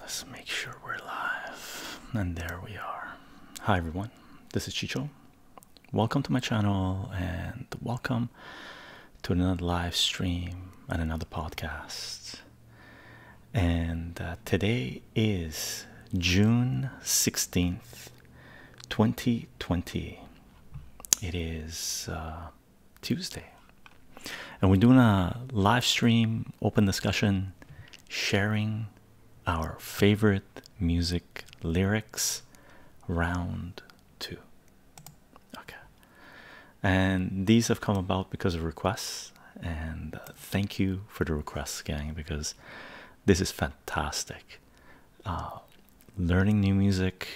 Let's make sure we're live. And there we are. Hi, everyone. This is Chicho. Welcome to my channel and welcome to another live stream and another podcast. And uh, today is June 16th, 2020. It is uh, Tuesday, and we're doing a live stream, open discussion, sharing our favorite music lyrics round two. Okay, and these have come about because of requests, and uh, thank you for the requests, gang, because this is fantastic. Uh, learning new music,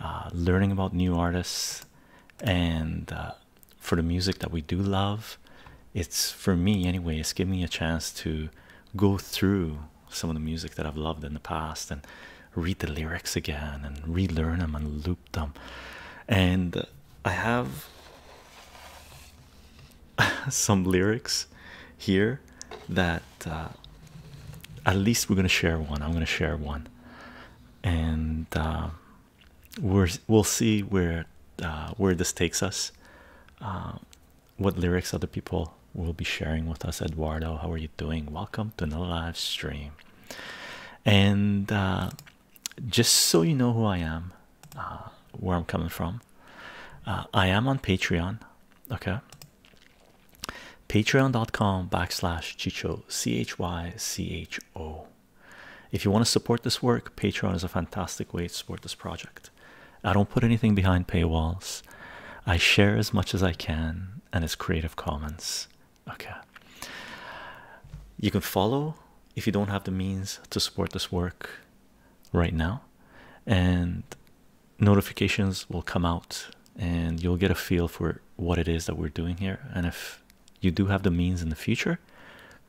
uh, learning about new artists, and uh, for the music that we do love, it's for me anyway. It's giving me a chance to go through some of the music that I've loved in the past and read the lyrics again and relearn them and loop them. And I have some lyrics here that uh, at least we're going to share one. I'm going to share one, and um, we're we'll see where uh, where this takes us. Um, what lyrics other people will be sharing with us? Eduardo, how are you doing? Welcome to another live stream. And uh, just so you know who I am, where I'm coming from, I am on Patreon. Okay, patreon.com backslash chicho c-h-y-c-h-o if you want to support this work patreon is a fantastic way to support this project i don't put anything behind paywalls i share as much as i can and it's creative commons okay you can follow if you don't have the means to support this work right now and notifications will come out and you'll get a feel for what it is that we're doing here. And if you do have the means in the future,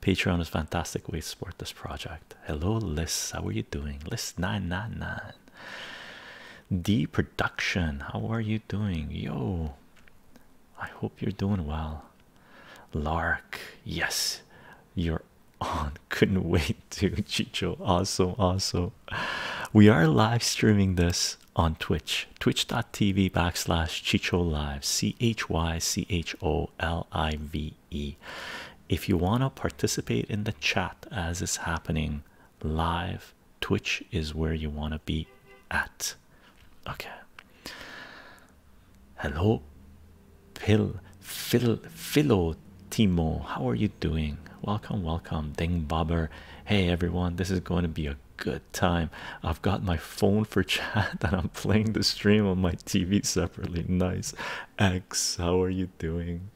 Patreon is fantastic way to support this project. Hello, Liz. How are you doing? Liz 999. D Production. How are you doing? Yo, I hope you're doing well. Lark. Yes, you're on. Couldn't wait To chicho also, also, we are live streaming this on twitch twitch.tv backslash chicho live c-h-y-c-h-o-l-i-v-e if you want to participate in the chat as it's happening live twitch is where you want to be at okay hello pill phil philo Timo. How are you doing? Welcome, welcome, Ding Bobber. Hey everyone, this is going to be a good time. I've got my phone for chat and I'm playing the stream on my TV separately. Nice. X, how are you doing?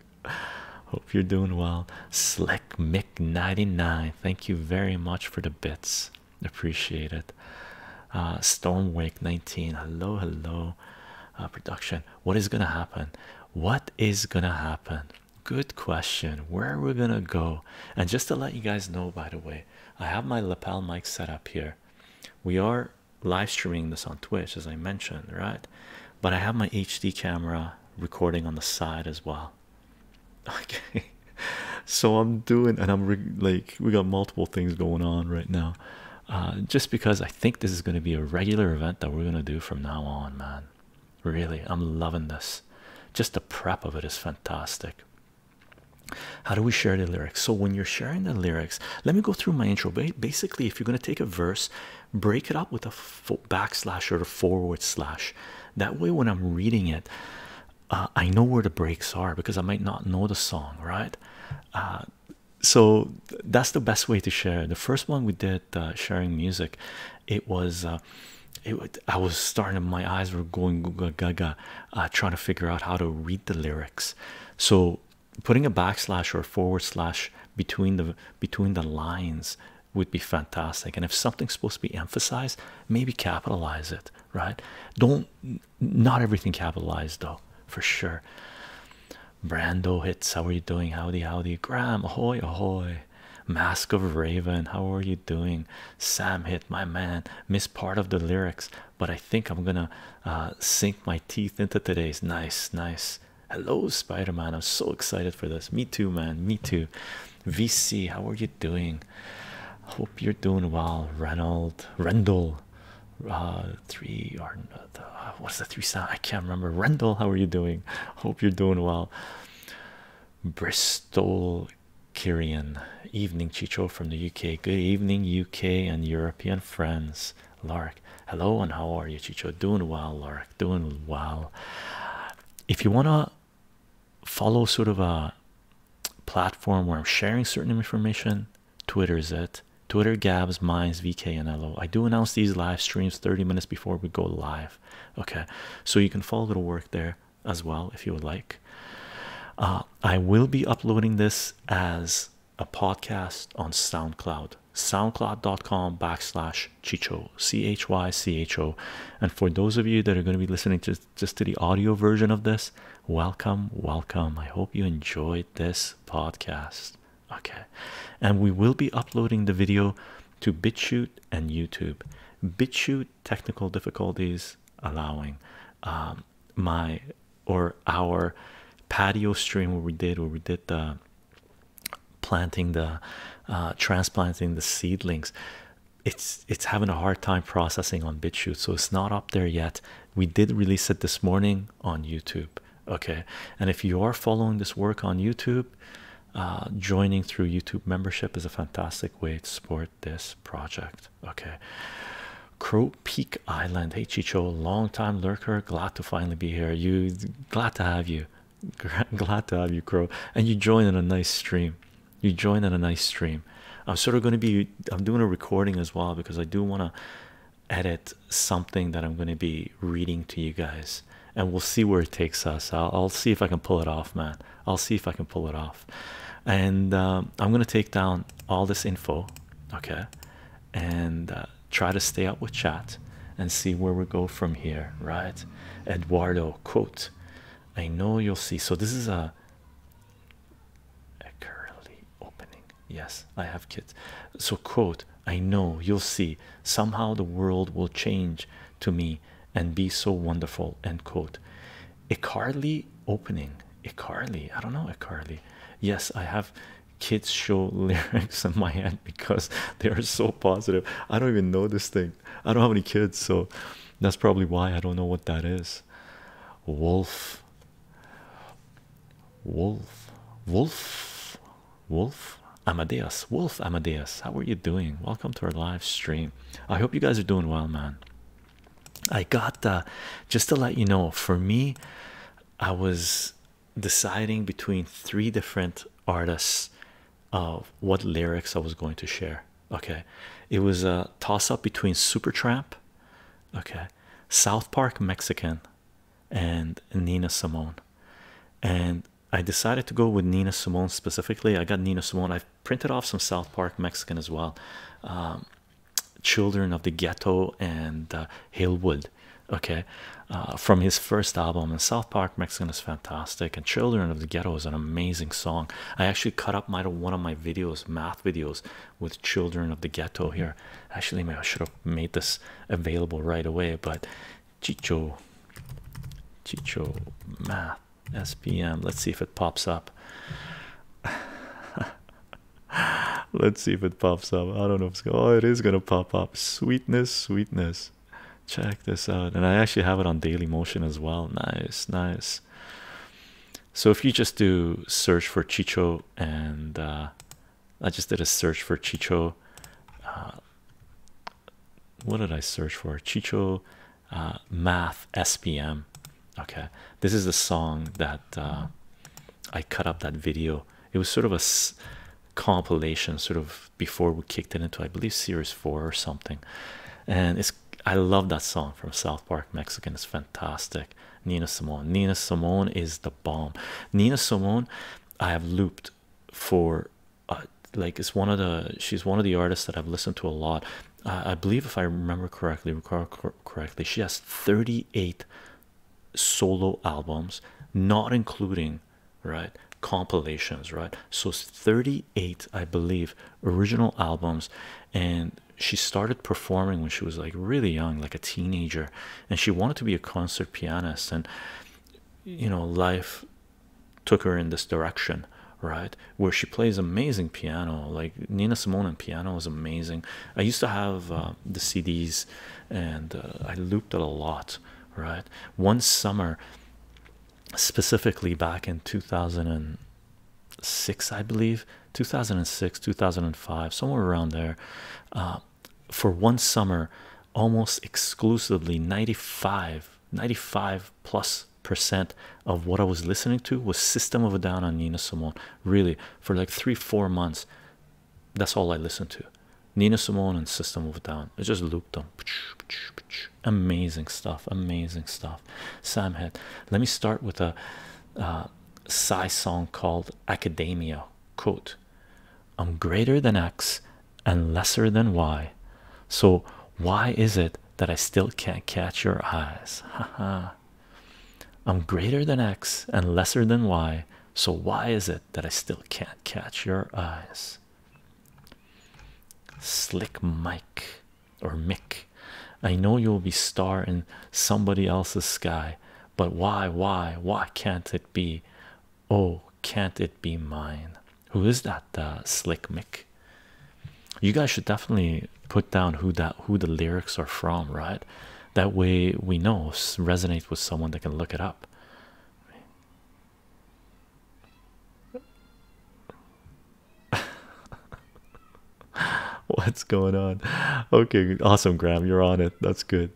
Hope you're doing well. Slick Mick99, thank you very much for the bits. Appreciate it. Uh, Stormwake19, hello, hello. Uh, production, what is gonna happen? What is gonna happen? Good question. Where are we gonna go? And just to let you guys know, by the way, I have my lapel mic set up here. We are live streaming this on Twitch, as I mentioned, right? But I have my HD camera recording on the side as well. Okay, so I'm doing, and I'm like, we got multiple things going on right now. Uh, just because I think this is going to be a regular event that we're going to do from now on, man. Really, I'm loving this. Just the prep of it is fantastic. How do we share the lyrics? So, when you're sharing the lyrics, let me go through my intro. Basically, if you're going to take a verse, break it up with a backslash or a forward slash. That way, when I'm reading it, uh, I know where the breaks are because I might not know the song, right? Uh, so, that's the best way to share. The first one we did, uh, sharing music, it was uh, it I was starting my eyes were going gaga uh, trying to figure out how to read the lyrics so putting a backslash or forward slash between the between the lines would be fantastic and if something's supposed to be emphasized maybe capitalize it right don't not everything capitalized though for sure brando hits how are you doing howdy howdy graham ahoy ahoy Mask of Raven. How are you doing? Sam hit my man, missed part of the lyrics, but I think I'm gonna uh, sink my teeth into today's nice, nice. Hello, Spider Man. I'm so excited for this. Me too, man. Me too. VC, how are you doing? Hope you're doing well, Reynold. Rendell, uh, three or what's uh, the three sound? I can't remember. Rendell, how are you doing? Hope you're doing well. Bristol Kirian, evening Chicho from the UK. Good evening, UK and European friends. Lark, hello, and how are you, Chicho? Doing well, Lark. Doing well. If you wanna follow sort of a platform where I'm sharing certain information, Twitter is it. Twitter, Gabs, Minds, VK, and LO. I do announce these live streams 30 minutes before we go live. Okay, so you can follow the work there as well if you would like. Uh, I will be uploading this as a podcast on SoundCloud, soundcloud.com backslash chicho, C H Y C H O. And for those of you that are going to be listening to just to the audio version of this, welcome, welcome. I hope you enjoyed this podcast okay and we will be uploading the video to bitchute and youtube bitchute technical difficulties allowing um, my or our patio stream where we did where we did the planting the uh, transplanting the seedlings it's it's having a hard time processing on bitchute so it's not up there yet we did release it this morning on youtube okay and if you are following this work on youtube uh, joining through YouTube membership is a fantastic way to support this project. Okay, Crow Peak Island. Hey, long time lurker. Glad to finally be here. You glad to have you. Glad to have you, Crow. And you join in a nice stream. You join in a nice stream. I'm sort of going to be. I'm doing a recording as well because I do want to edit something that I'm going to be reading to you guys and we'll see where it takes us. I'll, see if I can pull it off, man. I'll see if I can pull it off. And um, I'm going to take down all this info, okay, and uh, try to stay up with chat and see where we go from here, right? Eduardo, quote, I know you'll see. So, this is a, a curly opening. Yes, I have kids. So, quote, I know you'll see somehow the world will change to me and be so wonderful. End quote. A opening. A I don't know. A Yes, I have kids show lyrics in my head because they are so positive. I don't even know this thing. I don't have any kids, so that's probably why I don't know what that is. Wolf. Wolf. Wolf. Wolf Amadeus. Wolf Amadeus, how are you doing? Welcome to our live stream. I hope you guys are doing well, man. I got uh, just to let you know, for me, I was deciding between three different artists of what lyrics I was going to share. Okay, it was a toss up between Supertramp, okay, South Park Mexican, and Nina Simone. And I decided to go with Nina Simone specifically. I got Nina Simone. I've printed off some South Park Mexican as well, um, Children of the Ghetto and uh, Hillwood. Okay, uh, from his first album. And South Park Mexican is fantastic. And Children of the Ghetto is an amazing song. I actually cut up my one of my videos, math videos, with Children of the Ghetto here. Actually, I should have made this available right away, but Chicho, Chicho Math SPM. Let's see if it pops up. Let's see if it pops up. I don't know it's going. Oh, it is gonna pop up. Sweetness, sweetness. Check this out. And I actually have it on Daily Motion as well. Nice, nice. So if you just do search for Chicho, and uh, I just did a search for Chicho uh, what did I search for? Chicho uh, Math SPM. Okay, this is the song that uh, I cut up that video. It was sort of a compilation, sort of before we kicked it into, I believe, series four or something. And it's I love that song from South Park Mexican. It's fantastic. Nina Simone. Nina Simone is the bomb. Nina Simone, I have looped for uh, like it's one of the she's one of the artists that I've listened to a lot. Uh, I believe if I remember correctly, correctly, she has 38 solo albums, not including right compilations, right? So it's 38, I believe, original albums, and she started performing when she was like really young, like a teenager, and she wanted to be a concert pianist and you know life took her in this direction right where she plays amazing piano like nina simone and piano is amazing i used to have uh, the cds and uh, i looped it a lot right one summer specifically back in 2006 i believe 2006 2005 somewhere around there uh, for one summer almost exclusively 95 95 plus percent of what I was listening to was System of a Down on Nina Simone. Really, for like three, four months, that's all I listened to. Nina Simone and System of a Down. I just looped them. Amazing stuff. Amazing stuff. Sam Head. Let me start with a uh, song called Academia. Quote I'm greater than X and lesser than Y. So why is it that I still can't catch your eyes? Haha. I'm greater than X and lesser than Y. So why is it that I still can't catch your eyes? Slick Mike or Mick. I know you'll be star in somebody else's sky, but why, why, why can't it be? Oh, can't it be mine? Who is that uh, slick Mick? You guys should definitely put down who that who the lyrics are from, right? That way we know resonates with someone that can look it up. What's going on? Okay, awesome, Graham. You're on it. That's good.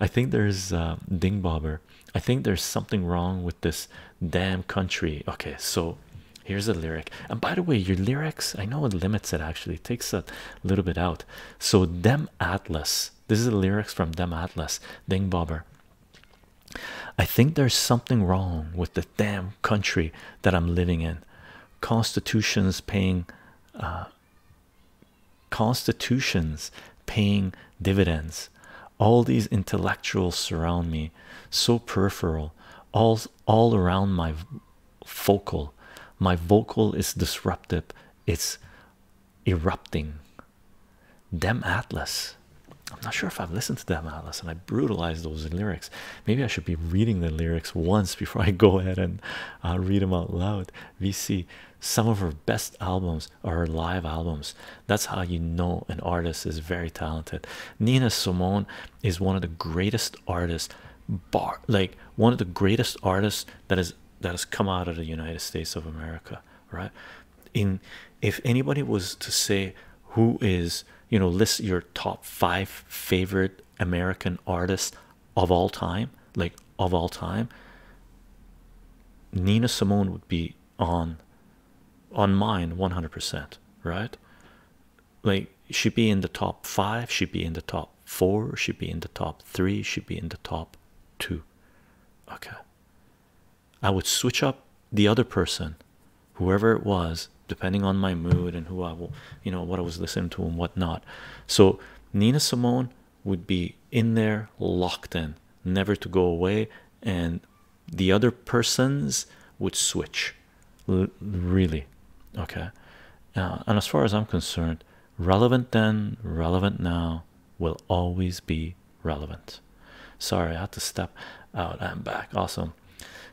I think there's uh, I think there's something wrong with this damn country. Okay, so here's a lyric. And by the way, your lyrics, I know it limits it actually, takes a little bit out. So, Dem Atlas, this is the lyrics from Dem Atlas, Ding Bobber. I think there's something wrong with the damn country that I'm living in. Constitutions paying, uh, constitutions paying dividends. All these intellectuals surround me, so peripheral, all all around my vocal, My vocal is disruptive, it's erupting. Dem Atlas. I'm not sure if I've listened to Dem Atlas and I brutalized those lyrics. Maybe I should be reading the lyrics once before I go ahead and uh, read them out loud. We see some of her best albums or live albums that's how you know an artist is very talented nina simone is one of the greatest artists bar like one of the greatest artists that has that has come out of the united states of america right in if anybody was to say who is you know list your top five favorite american artists of all time like of all time nina simone would be on on mine 100% right like should be in the top 5 should be in the top 4 should be in the top 3 should be in the top 2 okay i would switch up the other person whoever it was depending on my mood and who i will you know what i was listening to and whatnot so nina simone would be in there locked in never to go away and the other person's would switch really okay uh, and as far as i'm concerned relevant then relevant now will always be relevant sorry i had to step out i'm back awesome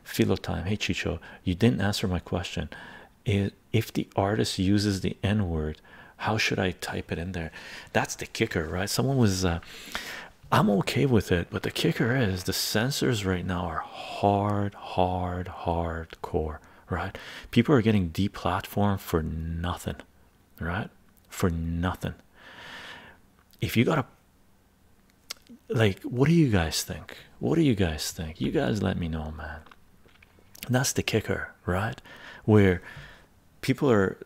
philo time hey chicho you didn't answer my question if the artist uses the n-word how should i type it in there that's the kicker right someone was uh, I'm okay with it, but the kicker is the sensors right now are hard, hard, hardcore, right? People are getting deplatformed for nothing, right? For nothing. If you got a like, what do you guys think? What do you guys think? You guys let me know, man. That's the kicker, right? Where people are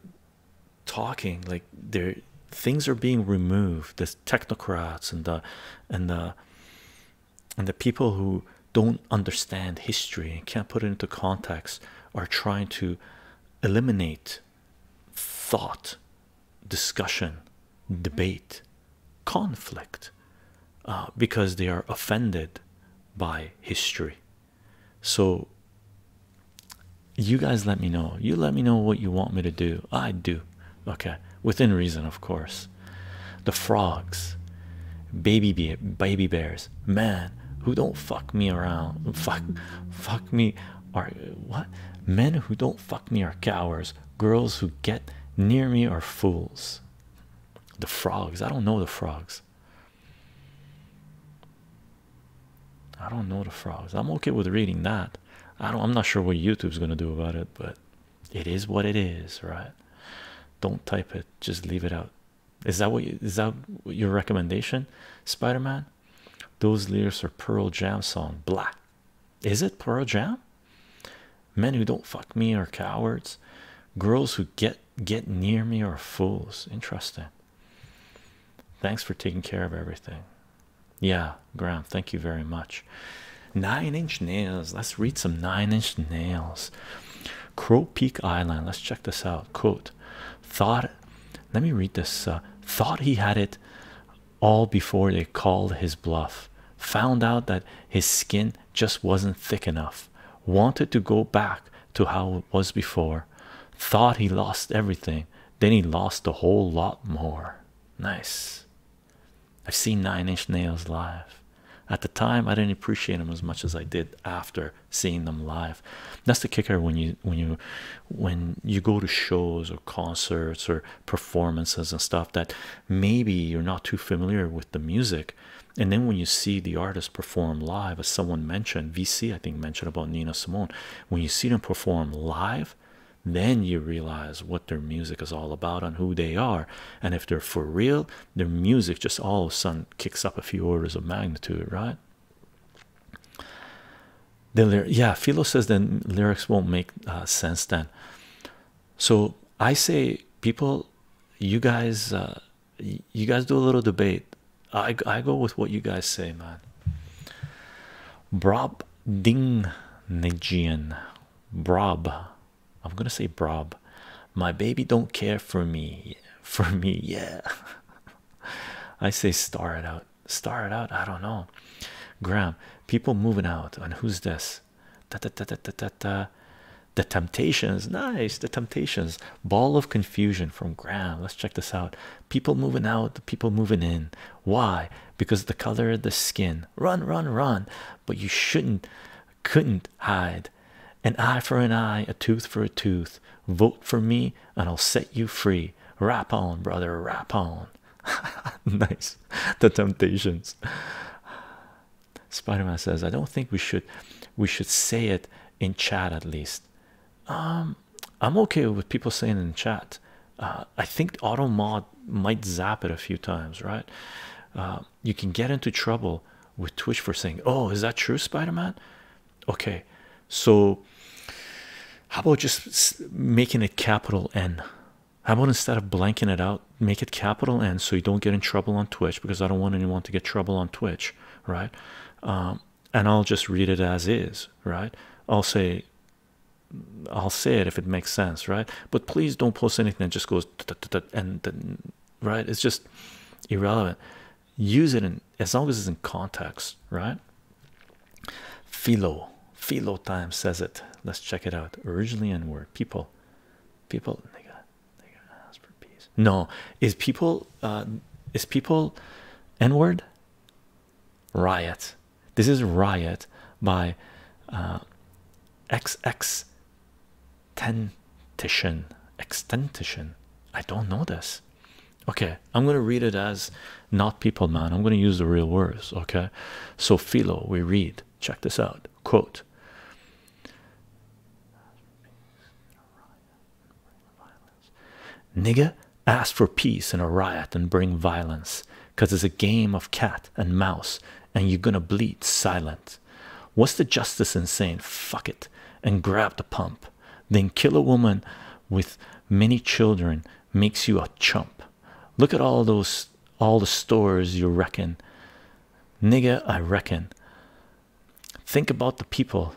talking like there things are being removed the technocrats and the and the and the people who don't understand history and can't put it into context are trying to eliminate thought discussion debate conflict uh, because they are offended by history so you guys let me know. You let me know what you want me to do. I do. Okay. Within reason, of course. The frogs, baby be baby bears, man, who don't fuck me around. Fuck fuck me are what? Men who don't fuck me are cowards. Girls who get near me are fools. The frogs. I don't know the frogs. I don't know the frogs. I'm okay with reading that. I don't I'm not sure what YouTube's gonna do about it, but it is what it is, right? Don't type it, just leave it out. Is that what you, is that your recommendation, Spider-Man? Those lyrics are Pearl Jam song Blah. Is it Pearl Jam? Men who don't fuck me are cowards. Girls who get get near me are fools. Interesting. Thanks for taking care of everything. Yeah, Graham, thank you very much. Nine inch nails. Let's read some nine inch nails. Crow Peak Island. Let's check this out. Quote Thought, let me read this. Uh, thought he had it all before they called his bluff. Found out that his skin just wasn't thick enough. Wanted to go back to how it was before. Thought he lost everything. Then he lost a whole lot more. Nice. I've seen Nine Inch Nails live. At the time, I didn't appreciate them as much as I did after seeing them live. That's the kicker when you when you when you go to shows or concerts or performances and stuff that maybe you're not too familiar with the music, and then when you see the artist perform live, as someone mentioned, VC I think mentioned about Nina Simone, when you see them perform live then you realize what their music is all about and who they are and if they're for real their music just all of a sudden kicks up a few orders of magnitude right then yeah philo says then lyrics won't make uh, sense then so i say people you guys uh, you guys do a little debate I I go with what you guys say, man. Brob Ding Nijian Brob. I'm gonna say Brob. My baby don't care for me. For me, yeah. I say star it out. Star it out. I don't know. Graham, people moving out. And who's this? Da, da, da, da, da, da. The Temptations. Nice. The Temptations. Ball of confusion from Graham. Let's check this out people moving out, the people moving in. Why? Because the color of the skin. Run, run, run. But you shouldn't, couldn't hide. An eye for an eye, a tooth for a tooth. Vote for me, and I'll set you free. Rap on, brother, rap on. nice. The temptations. Spider-Man says, I don't think we should we should say it in chat at least. Um I'm okay with people saying in chat. Uh, I think auto mod might zap it a few times, right? Uh, you can get into trouble with Twitch for saying, "Oh, is that true, Spider-Man?" Okay, so how about just making it capital N? How about instead of blanking it out, make it capital N so you don't get in trouble on Twitch because I don't want anyone to get trouble on Twitch, right? Um, and I'll just read it as is, right? I'll say, I'll say it if it makes sense, right? But please don't post anything that just goes and right? It's just irrelevant. Use it in as long as it's in context, right? Philo, Philo time says it. Let's check it out. Originally N word, people, people. They got, they got ask for peace. No, is people, uh, is people N word? Riot. This is Riot by uh, XX Tentition. Extentition. I don't know this. Okay, I'm gonna read it as not people, man. I'm gonna use the real words. Okay, so Philo, we read. Check this out. Quote. Nigger, ask for peace in a riot and bring violence, cause it's a game of cat and mouse, and you're gonna bleed silent. What's the justice in saying fuck it and grab the pump? Then kill a woman with many children makes you a chump. Look at all those all the stores you reckon. Nigger, I reckon. Think about the people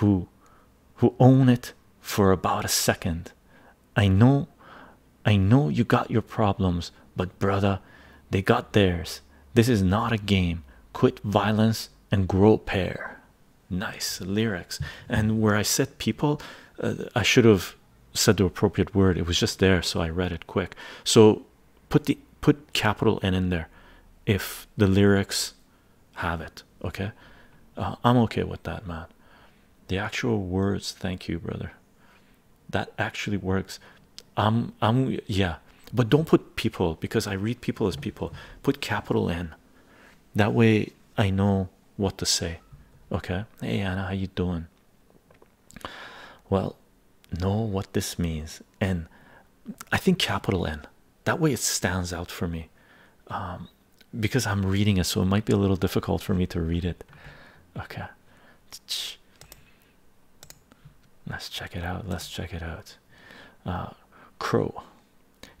who who own it for about a second i know i know you got your problems but brother they got theirs this is not a game quit violence and grow pair nice lyrics and where i said people uh, i should have said the appropriate word it was just there so i read it quick so put the put capital n in there if the lyrics have it okay uh, i'm okay with that man the actual words thank you brother that actually works i'm i'm yeah but don't put people because i read people as people put capital n that way i know what to say okay hey anna how you doing well know what this means and i think capital n that way it stands out for me um, because I'm reading it, so it might be a little difficult for me to read it. Okay, let's check it out. Let's check it out. Uh, Crow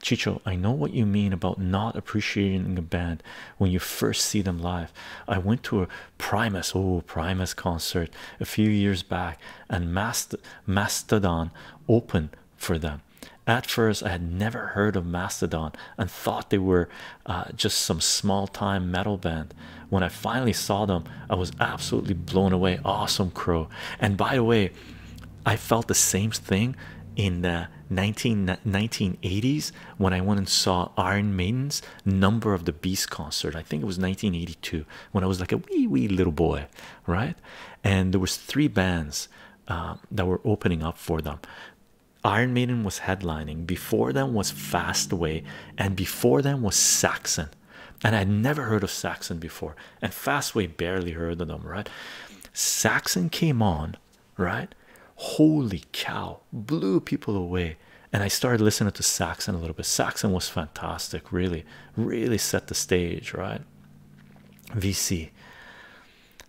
Chicho, I know what you mean about not appreciating a band when you first see them live. I went to a Primus, oh, Primus concert a few years back, and Mast Mastodon opened for them. At first, I had never heard of Mastodon and thought they were uh, just some small time metal band. When I finally saw them, I was absolutely blown away. Awesome crow. And by the way, I felt the same thing in the 19, 1980s when I went and saw Iron Maiden's Number of the Beast concert. I think it was 1982 when I was like a wee, wee little boy, right? And there was three bands uh, that were opening up for them. Iron Maiden was headlining, before them was Fastway, and before them was Saxon. And I'd never heard of Saxon before, and Fastway barely heard of them, right? Saxon came on, right? Holy cow, blew people away. And I started listening to Saxon a little bit. Saxon was fantastic, really, really set the stage, right? VC.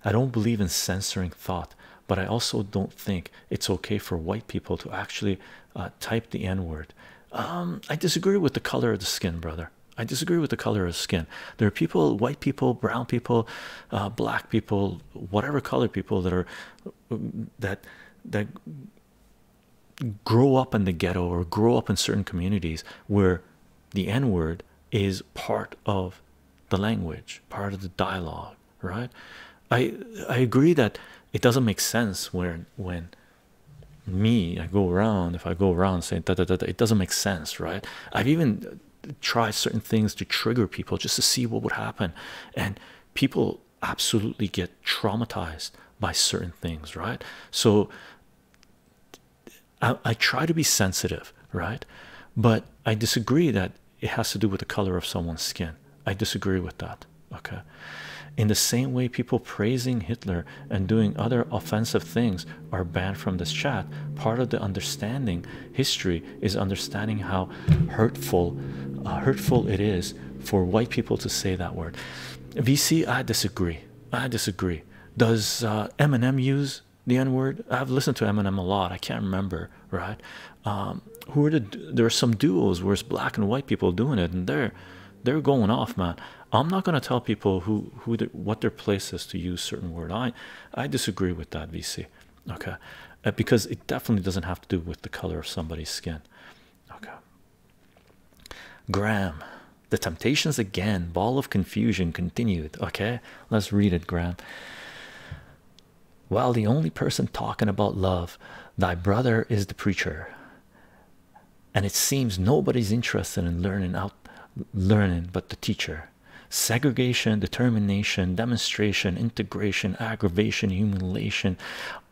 I don't believe in censoring thought, but I also don't think it's okay for white people to actually uh, type the N word. Um, I disagree with the color of the skin, brother. I disagree with the color of skin. There are people, white people, brown people, uh, black people, whatever color people that are that that grow up in the ghetto or grow up in certain communities where the N word is part of the language, part of the dialogue, right? I I agree that it doesn't make sense when when me I go around if I go around saying da, da, da, da, it doesn't make sense, right? I've even tried certain things to trigger people just to see what would happen, and people absolutely get traumatized by certain things, right? So I, try to be sensitive, right? But I disagree that it has to do with the color of someone's skin. I disagree with that. Okay. In the same way, people praising Hitler and doing other offensive things are banned from this chat. Part of the understanding history is understanding how hurtful, uh, hurtful it is for white people to say that word. VC, I disagree. I disagree. Does Eminem uh, use the N word. I've listened to Eminem a lot. I can't remember, right? Um, who are the there are some duos where it's black and white people doing it, and they're they're going off, man. I'm not gonna tell people who who what their place is to use certain word. I I disagree with that, VC. Okay, uh, because it definitely doesn't have to do with the color of somebody's skin. Okay. Graham, the temptations again. Ball of confusion continued. Okay, Let's read it, Graham. Well, the only person talking about love, thy brother, is the preacher, and it seems nobody's interested in learning out learning but the teacher. Segregation, determination, demonstration, integration, aggravation, humiliation,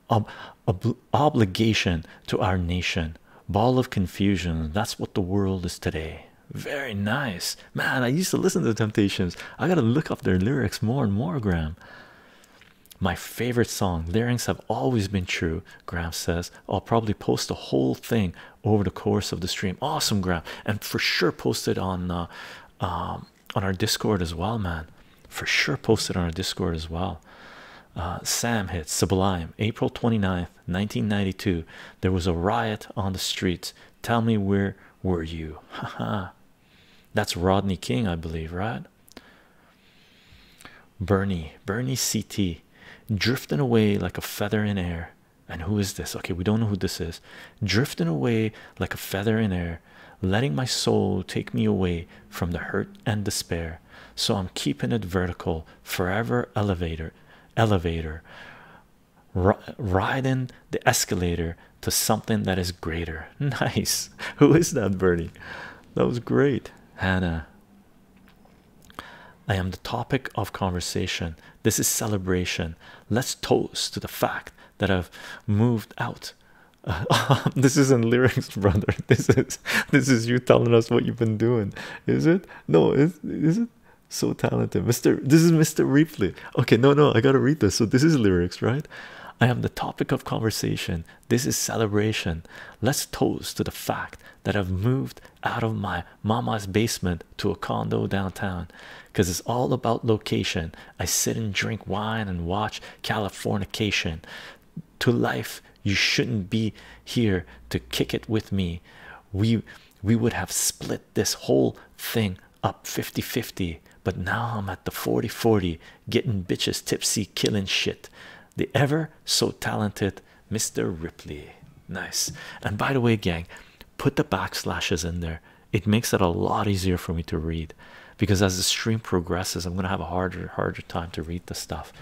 ob ob obligation to our nation. Ball of confusion. That's what the world is today very nice man i used to listen to the temptations i gotta look up their lyrics more and more graham my favorite song lyrics have always been true graham says i'll probably post the whole thing over the course of the stream awesome graham and for sure post it on uh, um, on our discord as well man for sure post it on our discord as well uh, sam hits sublime april 29th 1992 there was a riot on the streets tell me where were you haha that's rodney king i believe right bernie bernie City, drifting away like a feather in air and who is this okay we don't know who this is drifting away like a feather in air letting my soul take me away from the hurt and despair so i'm keeping it vertical forever elevator elevator riding the escalator to something that is greater. Nice. Who is that, Bernie? That was great, Hannah. I am the topic of conversation. This is celebration. Let's toast to the fact that I've moved out. this isn't lyrics, brother. This is this is you telling us what you've been doing. Is it? No, is is it? so talented mr this is mr repley okay no no i gotta read this so this is lyrics right i am the topic of conversation this is celebration let's toast to the fact that i've moved out of my mama's basement to a condo downtown because it's all about location i sit and drink wine and watch californication to life you shouldn't be here to kick it with me we we would have split this whole thing up fifty-fifty, But now I'm at the forty-forty, getting bitches tipsy, killing shit. The ever so talented Mr. Ripley. Nice. And by the way, gang, put the backslashes in there, it makes it a lot easier for me to read because as the stream progresses, I'm gonna have a harder, harder time to read the stuff.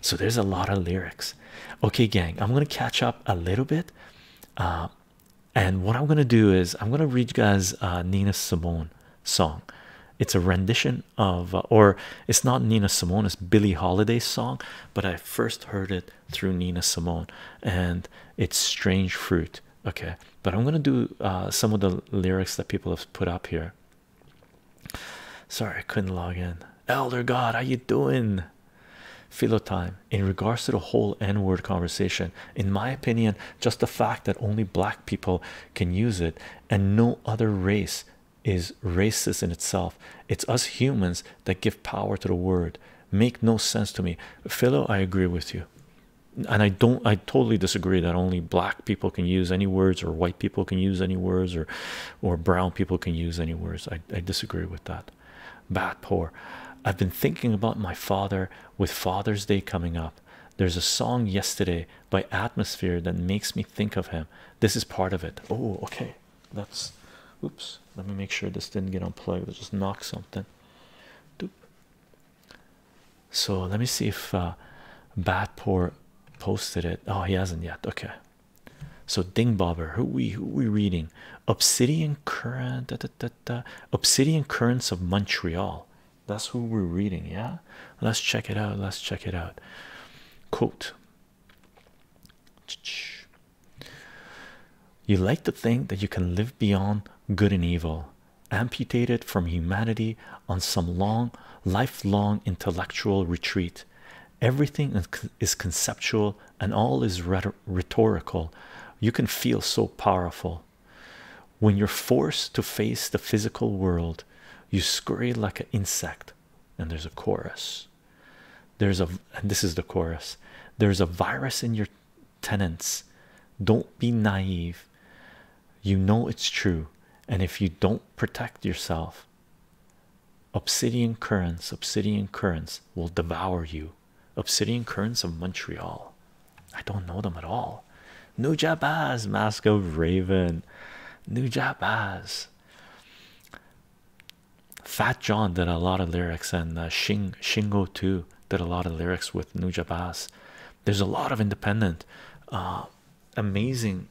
So there's a lot of lyrics. Okay, gang, I'm gonna catch up a little bit uh, and what i'm going to do is i'm going to read you guys uh, nina simone song it's a rendition of uh, or it's not nina simone it's billie Holiday song but i first heard it through nina simone and it's strange fruit okay but i'm going to do some of the lyrics that people have put up here sorry i couldn't log in elder god how you doing philo time in regards to the whole n-word conversation in my opinion just the fact that only black people can use it and no other race is racist in itself it's us humans that give power to the word make no sense to me philo i agree with you and i don't i totally disagree that only black people can use any words or white people can use any words or or brown people can use any words i, I disagree with that Bat poor. I've been thinking about my father with Father's Day coming up. There's a song yesterday by Atmosphere that makes me think of him. This is part of it. Oh, okay. That's oops. Let me make sure this didn't get unplugged. I just knocked something. Doop. So let me see if uh, Batpour posted it. Oh, he hasn't yet. Okay, so Dingbobber, who we who we reading? Obsidian current, da, da, da, da. Obsidian Currents of Montreal. That's who we're reading, yeah. Let's check it out. Let's check it out. Quote. You like to think that you can live beyond good and evil, amputated from humanity on some long, lifelong intellectual retreat. Everything is conceptual and all is rhetorical, you can feel so powerful. When you're forced to face the physical world, you scurry like an insect. And there's a chorus. There's a, and this is the chorus. There's a virus in your tenants. Don't be naive. You know it's true. And if you don't protect yourself, obsidian currents, obsidian currents will devour you. Obsidian Currents of Montreal. I don't know them at all. Nujabaz, Mask of Raven. Nujabaz. Fat John did a lot of lyrics, and uh, Shingo too did a lot of lyrics with Nujabaz. There's a lot of independent, uh, amazing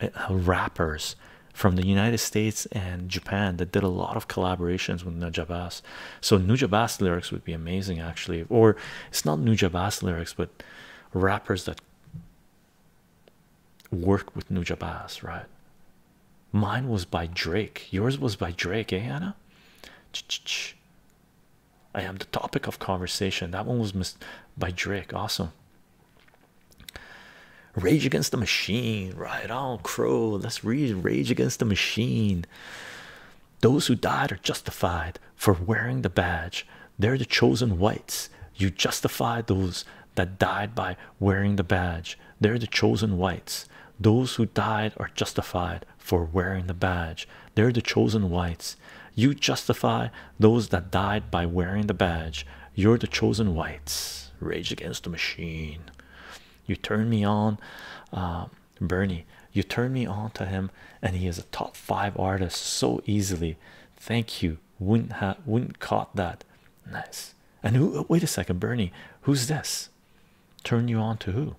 uh, rappers from the United States and Japan that did a lot of collaborations with Nujabas. So Nujabas lyrics would be amazing actually, or it's not Nujabas lyrics, but rappers that work with Nujabas, right? Mine was by Drake. Yours was by Drake, eh, Anna? Ch -ch -ch. I am the topic of conversation. That one was missed by Drake. Awesome. Rage Against the Machine, right on Crow. Let's Rage Against the Machine. Those who died are justified for wearing the badge. They're the chosen whites. You justify those that died by wearing the badge. They're the chosen whites. Those who died are justified for wearing the badge. They're the chosen whites. You justify those that died by wearing the badge. You're the chosen whites. Rage against the machine. You turn me on, uh, Bernie. You turn me on to him, and he is a top five artist so easily. Thank you. Wouldn't have wouldn't caught that. Nice. And who? Wait a second, Bernie. Who's this? Turn you on to who?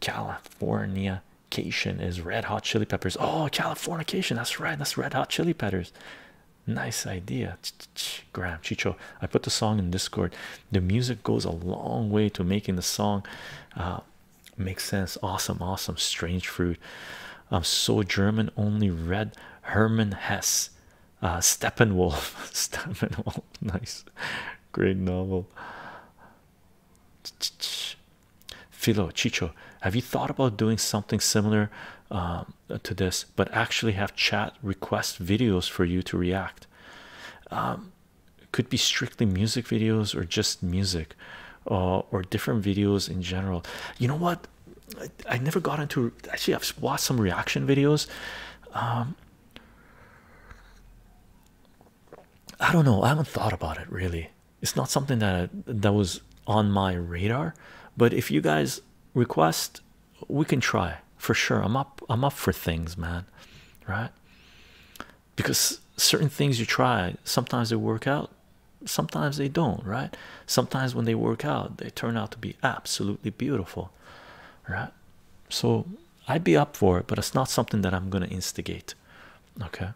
California cation is red hot chili peppers. Oh, Californication. That's right. That's red hot chili peppers. Nice idea, Ch Chicho. I put the song in Discord. The music goes a long way to making the song uh, make sense. Awesome, awesome. Strange fruit. I'm um, so German. Only read Herman Hess. Uh, Steppenwolf. Steppenwolf. Nice, great novel. Ch -ch Philo Chicho, have you thought about doing something similar um, uh, to this but actually have chat request videos for you to react um, could be strictly music videos or just music uh, or different videos in general you know what I, never got into actually I've watched some reaction videos um, I don't know I haven't thought about it really it's not something that that was on my radar but if you guys request we can try for sure i'm up i'm up for things man right because certain things you try sometimes they work out sometimes they don't right sometimes when they work out they turn out to be absolutely beautiful right so i'd be up for it but it's not something that i'm going to instigate okay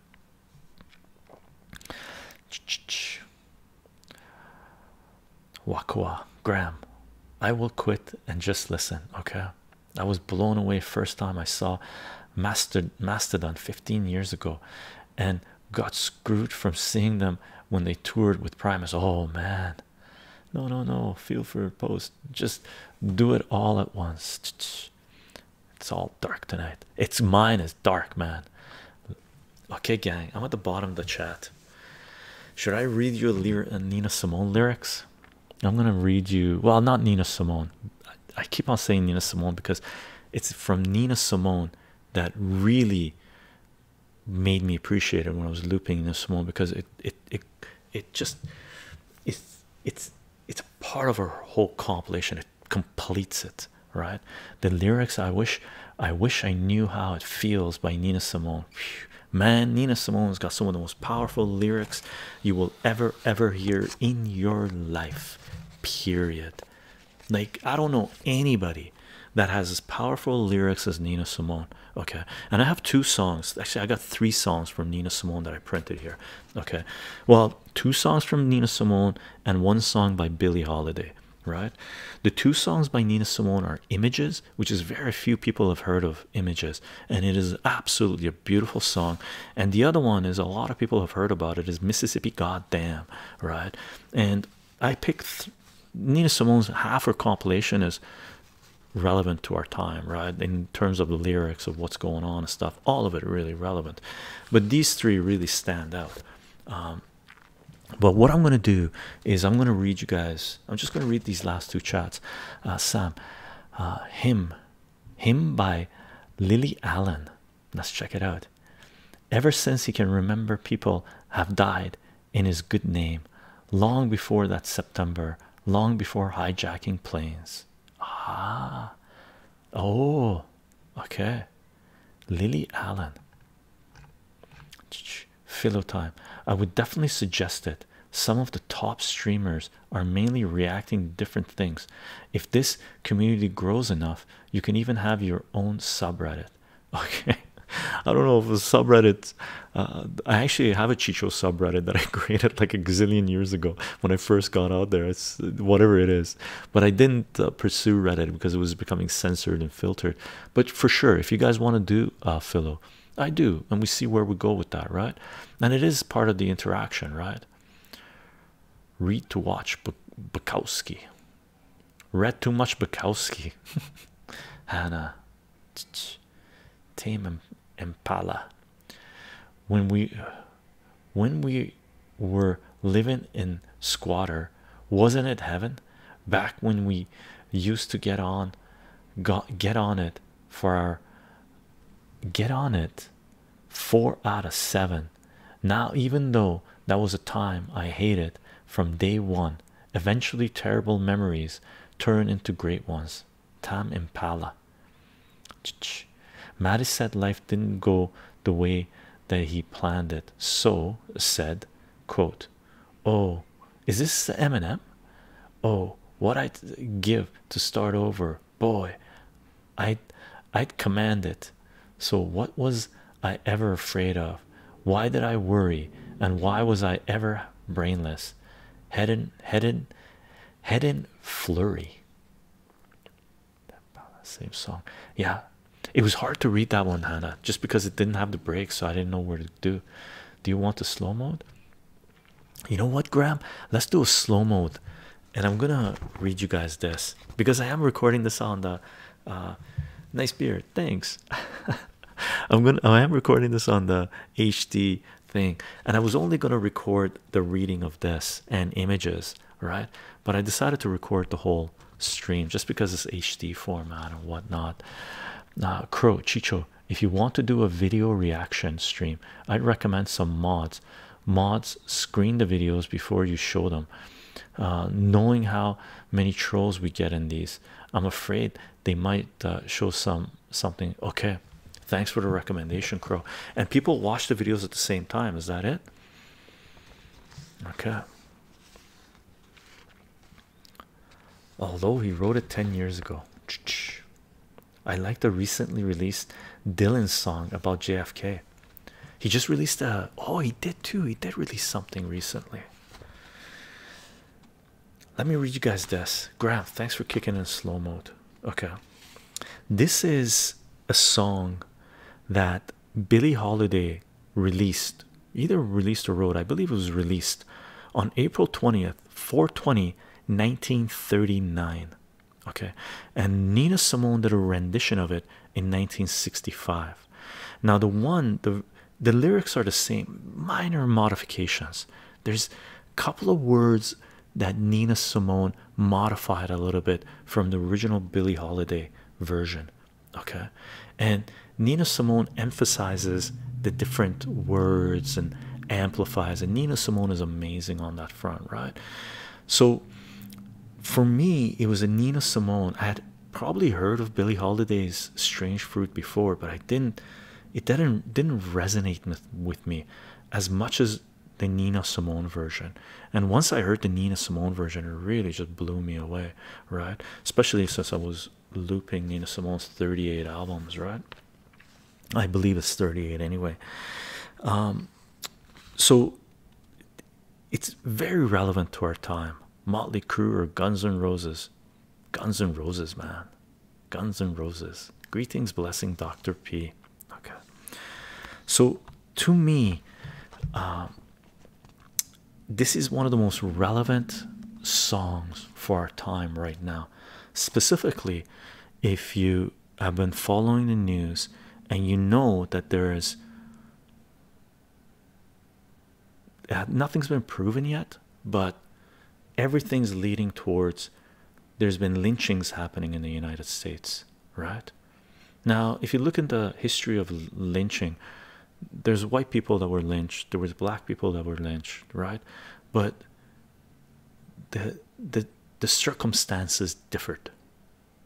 Wakwa Graham, I will quit and just listen. Okay, I was blown away first time I saw Mastodon 15 years ago and got screwed from seeing them when they toured with Primus. Oh man, no, no, no, feel for to post, just do it all at once. It's all dark tonight. It's minus dark, man. Okay, gang, I'm at the bottom of the chat. Should I read you a Nina Simone lyrics? I'm gonna read you. Well, not Nina Simone. I keep on saying Nina Simone because it's from Nina Simone that really made me appreciate it when I was looping Nina Simone because it it it it just it's it's it's a part of her whole compilation. It completes it, right? the lyrics i wish i wish i knew how it feels by nina simone man nina simone's got some of the most powerful lyrics you will ever ever hear in your life period like i don't know anybody that has as powerful lyrics as nina simone okay and i have two songs actually i got three songs from nina simone that i printed here okay well two songs from nina simone and one song by billie holiday right? The two songs by Nina Simone are Images, which is very few people have heard of Images, and it is absolutely a beautiful song. And the other one is a lot of people have heard about it is Mississippi Goddamn, right? And I picked Nina Simone's half her compilation is relevant to our time, right? In terms of the lyrics of what's going on and stuff, all of it really relevant. But these three really stand out. Um, but what I'm going to do is I'm going to read you guys. I'm just going to read these last two chats. Uh, Sam, uh, him, him by Lily Allen. Let's check it out. Ever since he can remember, people have died in his good name, long before that September, long before hijacking planes. Ah, oh, okay. Lily Allen, Philo time. I would definitely suggest it. Some of the top streamers are mainly reacting different things. If this community grows enough, you can even have your own subreddit. Okay, I don't know if a subreddit. Uh, I actually have a Chicho subreddit that I created like a gazillion years ago when I first got out there. It's whatever it is, but I didn't uh, pursue Reddit because it was becoming censored and filtered but for sure if you guys want to do a uh, philo i do and we see where we go with that right and it is part of the interaction right read to watch bukowski read too much bukowski hannah tame impala when we when we were living in squatter wasn't it heaven? Back when we used to get on, get on it for our get on it four out of seven. Now, even though that was a time I hated from day one, eventually terrible memories turn into great ones. Tam Impala. Ch -ch. Mattis said life didn't go the way that he planned it. So said, quote, oh is this the Eminem oh what I'd give to start over boy I would I'd command it so what was I ever afraid of why did I worry and why was I ever brainless head in head in head in flurry same song yeah it was hard to read that one, Hannah, just because it didn't have the breaks, so I didn't know where to do. Do you want the slow mode? You know what, Graham? Let's do a slow mode, and I'm gonna read you guys this because I am recording this on the uh, nice beard. Thanks. I'm gonna. I am recording this on the HD thing, and I was only gonna record the reading of this and images, right? But I decided to record the whole stream just because it's HD format and whatnot. Uh, Crow Chicho, if you want to do a video reaction stream, I'd recommend some mods. Mods screen the videos before you show them. Uh, knowing how many trolls we get in these, I'm afraid they might uh, show some something. Okay, thanks for the recommendation, Crow. And people watch the videos at the same time. Is that it? Okay. Although he wrote it 10 years ago. I like the recently released Dylan song about JFK. He just released a oh, he did too. He did release something recently. Let me read you guys this. Graham, thanks for kicking in slow mode. Okay, this is a song that Billie Holiday released either released or wrote i believe it was released on april 20th 420 1939 okay and nina simone did a rendition of it in 1965 now the one the the lyrics are the same minor modifications there's a couple of words that nina simone modified a little bit from the original billie holiday version okay and nina simone emphasizes the different words and amplifies and nina simone is amazing on that front right so for me it was a nina simone i had probably heard of billie holiday's strange fruit before but i didn't it didn't didn't resonate with, with me as much as the Nina Simone version, and once I heard the Nina Simone version, it really just blew me away, right? Especially since I was looping Nina Simone's 38 albums, right? I believe it's 38 anyway. Um, so it's very relevant to our time. Motley Crue or Guns N' Roses, Guns N' Roses, man, Guns N' Roses. Greetings, blessing, Doctor P. Okay, so to me, um, this is one of the most relevant songs for our time right now. Specifically, if you have been following the news and you know that there is uh, nothing's been proven yet, but everything's leading towards there's been lynchings happening in the United States, right? Now, if you look in the history of lynching, there's white people that were lynched there was black people that were lynched right but the the the circumstances differed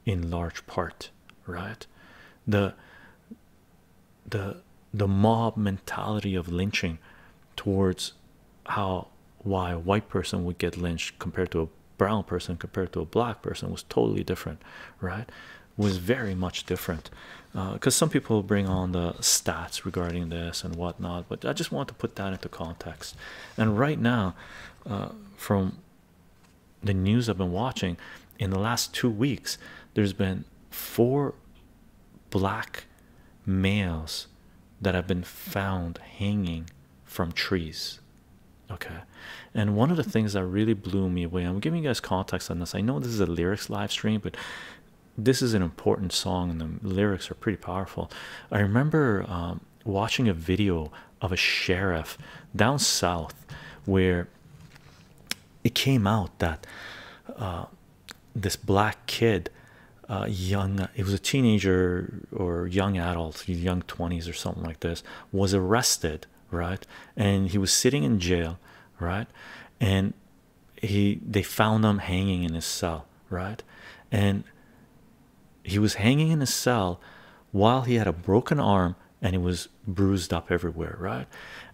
in large part right the the the mob mentality of lynching towards how why a white person would get lynched compared to a brown person compared to a black person was totally different right was very much different because uh, some people bring on the stats regarding this and whatnot, but I just want to put that into context. And right now, uh, from the news I've been watching in the last two weeks, there's been four black males that have been found hanging from trees. Okay, and one of the things that really blew me away, I'm giving you guys context. I know this is a lyrics live stream, but this is an important song, and the lyrics are pretty powerful. I remember um, watching a video of a sheriff down south where it came out that uh, this black kid, uh, young, it was a teenager or young adult, young 20s or something like this, was arrested, right? And he was sitting in jail, right? and he they found him hanging in his cell right and he was hanging in his cell while he had a broken arm and he was bruised up everywhere right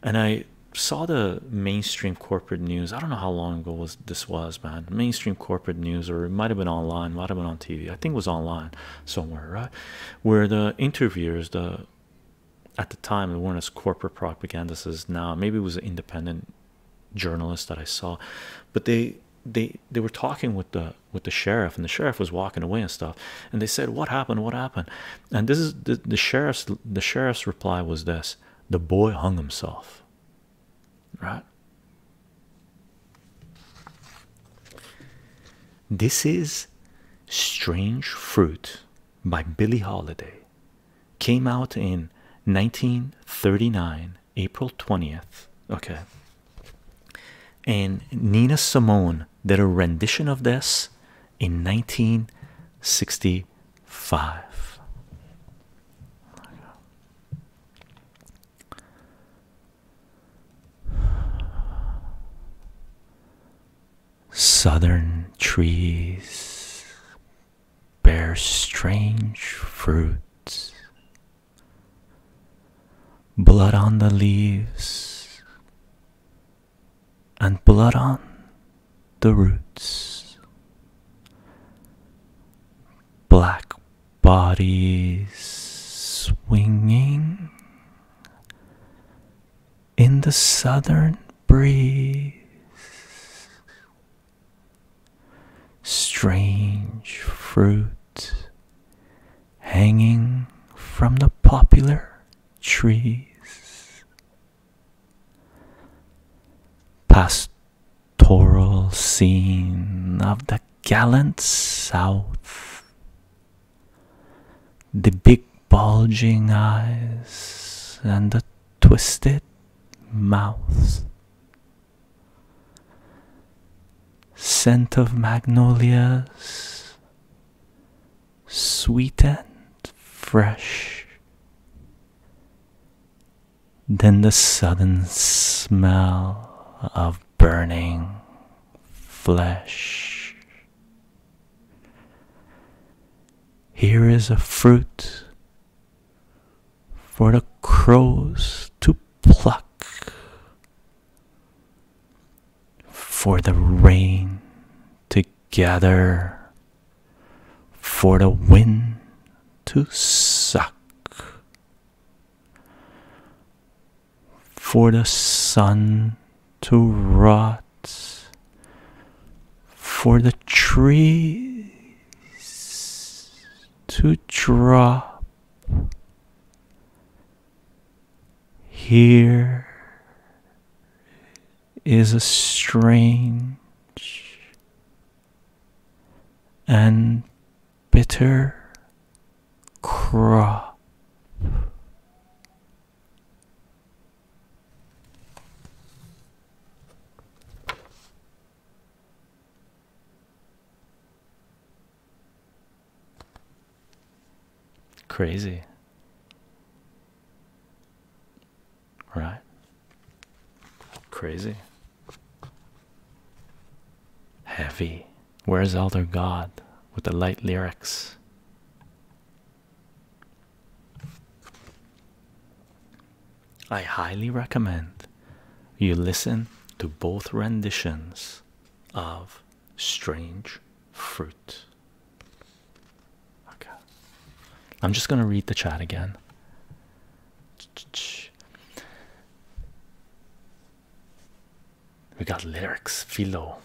and i saw the mainstream corporate news i don't know how long ago this was man mainstream corporate news or it might have been online might have been on tv i think it was online somewhere right where the interviewers the at the time they weren't as corporate propagandists as now maybe it was an independent journalist that i saw but they they they were talking with the with the sheriff and the sheriff was walking away and stuff and they said what happened what happened and this is the, the sheriff's the sheriff's reply was this the boy hung himself right this is strange fruit by Billie Holiday came out in 1939 April 20th okay and Nina Simone did a rendition of this in 1965 Southern trees bear strange fruits. Blood on the leaves and blood on the roots. Black bodies swinging in the southern breeze. Strange fruit hanging from the popular trees. Pastoral scene of the gallant south. The big bulging eyes and the twisted mouth. Scent of magnolias, sweet and fresh. Then the sudden smell of burning flesh. Here is a fruit for the crows to pluck, for the rain to gather, for the wind to suck, for the sun to rot for the trees to drop here is a strange and bitter crop Crazy, right? Crazy, heavy. Where's Elder God with the light lyrics? I highly recommend you listen to both renditions of Strange Fruit. Okay, I'm just going to read the chat again. We got lyrics, Philo.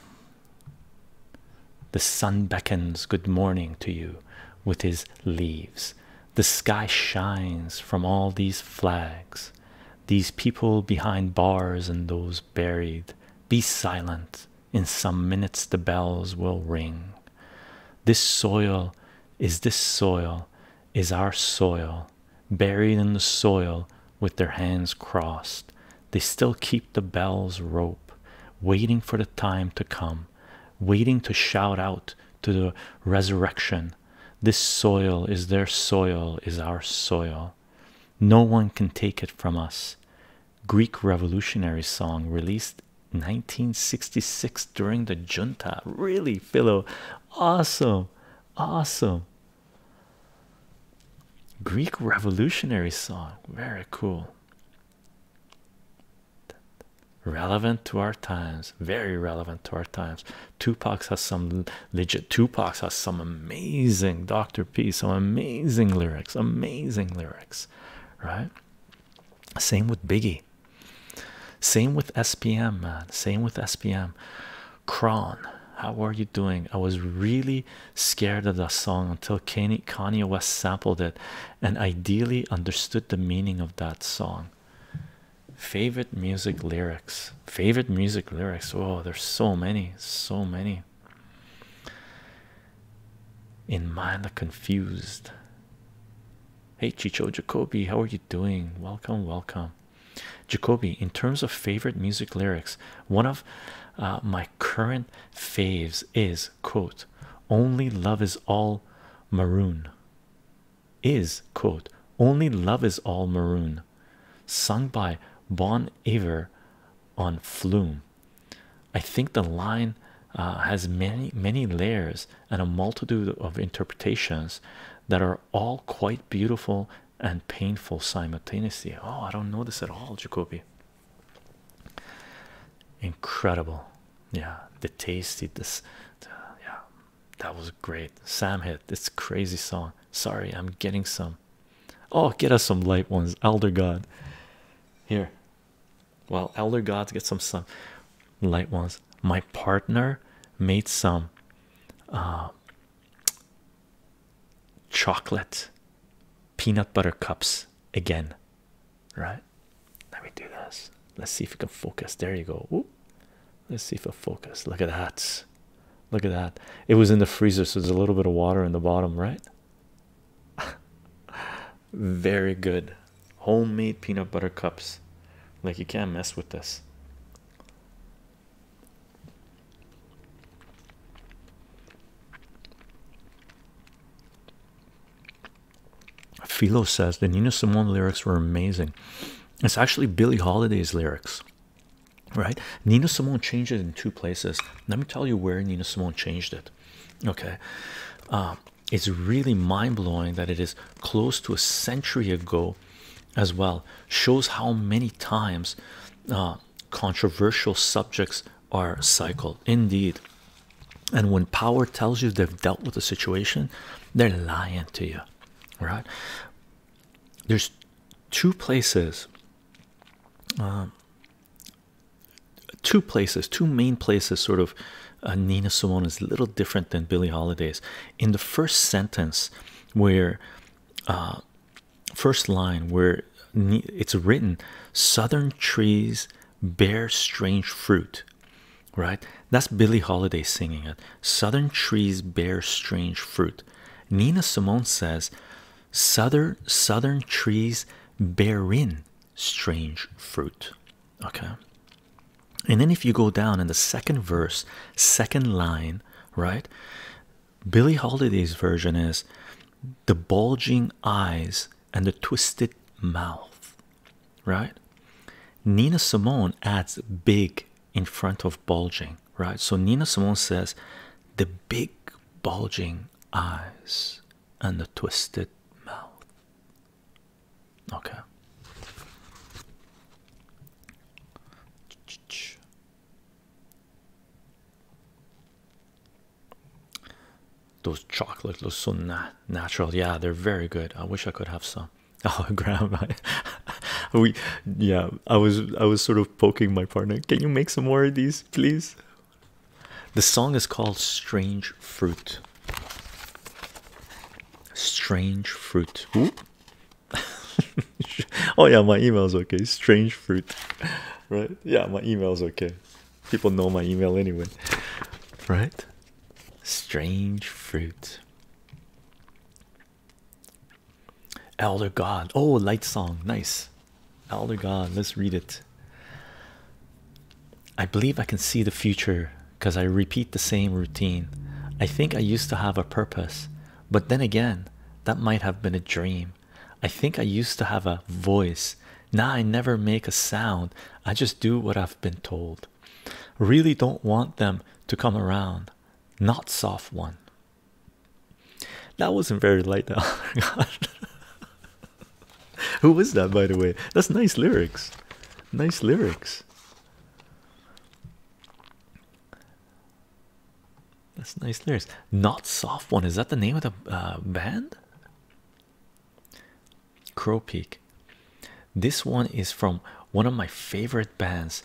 The sun beckons good morning to you with his leaves. The sky shines from all these flags. These people behind bars and those buried. Be silent. In some minutes the bells will ring. This soil is this soil, is our soil, buried in the soil with their hands crossed. They still keep the bell's rope, waiting for the time to come, waiting to shout out to the resurrection. This soil is their soil, is our soil. No one can take it from us. Greek revolutionary song released 1966 during the junta. Really, Philo, awesome, awesome. Greek revolutionary song, very cool relevant to our times very relevant to our times Tupac has some legit Tupac has some amazing dr p some amazing lyrics amazing lyrics right same with biggie same with spm man same with spm Kron, how are you doing i was really scared of that song until kanye west sampled it and ideally understood the meaning of that song. Favorite music lyrics, favorite music lyrics. Oh, there's so many, so many. In mind, i confused. Hey, Chicho Jacobi. how are you doing? Welcome, welcome. Jacobi. in terms of favorite music lyrics, one of uh, my current faves is quote only love is all maroon is quote only love is all maroon sung by bon iver on flume i think the line uh, has many many layers and a multitude of interpretations that are all quite beautiful and painful simultaneously oh i don't know this at all jacoby Incredible, yeah. The tasty, this, yeah, that was great. Sam hit this crazy song. Sorry, I'm getting some. Oh, get us some light ones, Elder God. Here, well, Elder God, get some some light ones. My partner made some uh, chocolate peanut butter cups again, right? Let me do this. Let's see if we can focus. There you go. Ooh. Let's see if it focus. Look at that. Look at that. It was in the freezer, so there's a little bit of water in the bottom, right? Very good. Homemade peanut butter cups. Like you can't mess with this. Philo says the Nina Simone lyrics were amazing. It's actually Billie Holiday's lyrics, right? Nina Simone changed it in two places. Let me tell you where Nina Simone changed it. Okay, uh, it's really mind blowing that it is close to a century ago, as well. Shows how many times uh, controversial subjects are cycled indeed and when power tells you they've dealt with the situation they're lying to you right there's two places um, two places two main places sort of uh, Nina Simone is a little different than Billie Holliday's. in the first sentence where uh, first line where it's written southern trees bear strange fruit right that's billie holiday singing it southern trees bear strange fruit nina simone says southern southern trees bear in strange fruit okay and then if you go down in the second verse second line right billie holiday's version is the bulging eyes and the twisted mouth, right? Nina Simone adds big in front of bulging, right? So Nina Simone says the big bulging eyes and the twisted mouth. Okay. Those chocolates look so natural. Yeah, they're very good. I wish I could have some. Oh, grandma, we yeah. I was I was sort of poking my partner. Can you make some more of these, please? The song is called "Strange Fruit." Strange fruit. oh yeah, my email's okay. Strange fruit, right? Yeah, my email's okay. People know my email anyway, right? Strange fruit. Elder God. Oh, light song. Nice. Elder God. Let's read it. I believe I can see the future because I repeat the same routine. I think I used to have a purpose, but then again, that might have been a dream. I think I used to have a voice, now I never make a sound, I just do what I've been told. Really don't want them to come around. Not soft one. That wasn't very light, though. Who was that, by the way? That's nice lyrics. Nice lyrics. That's nice lyrics. Not soft one. Is that the name of the uh, band? Crow Peak. This one is from one of my favorite bands,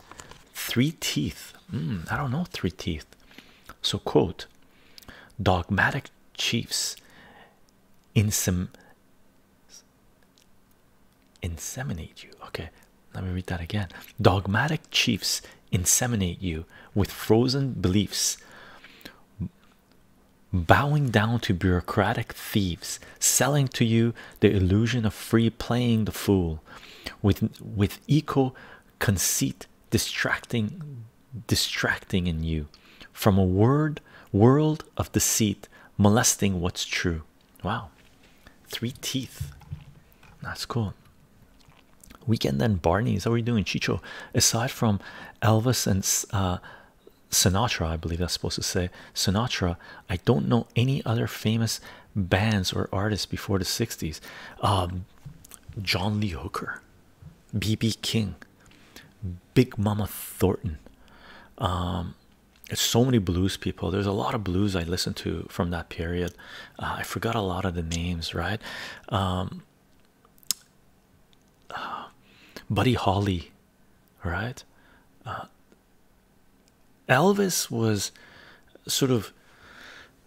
Three Teeth. Hmm, I don't know Three Teeth. So, quote Dogmatic chiefs inseminate you. Okay, let me read that again. Dogmatic chiefs inseminate you with frozen beliefs bowing down to bureaucratic thieves, selling to you the illusion of free playing the fool with with eco conceit distracting distracting in you from a word world of deceit molesting what's true wow three teeth that's cool weekend and barney's how are we doing chicho aside from elvis and uh Sinatra, I believe that's supposed to say Sinatra. I don't know any other famous bands or artists before the 60s. Um, John Lee Hooker, BB King, Big Mama Thornton. it's um, so many blues people. There's a lot of blues I listened to from that period. Uh, I forgot a lot of the names, right? Um, uh, Buddy Holly, right? Uh, Elvis was sort of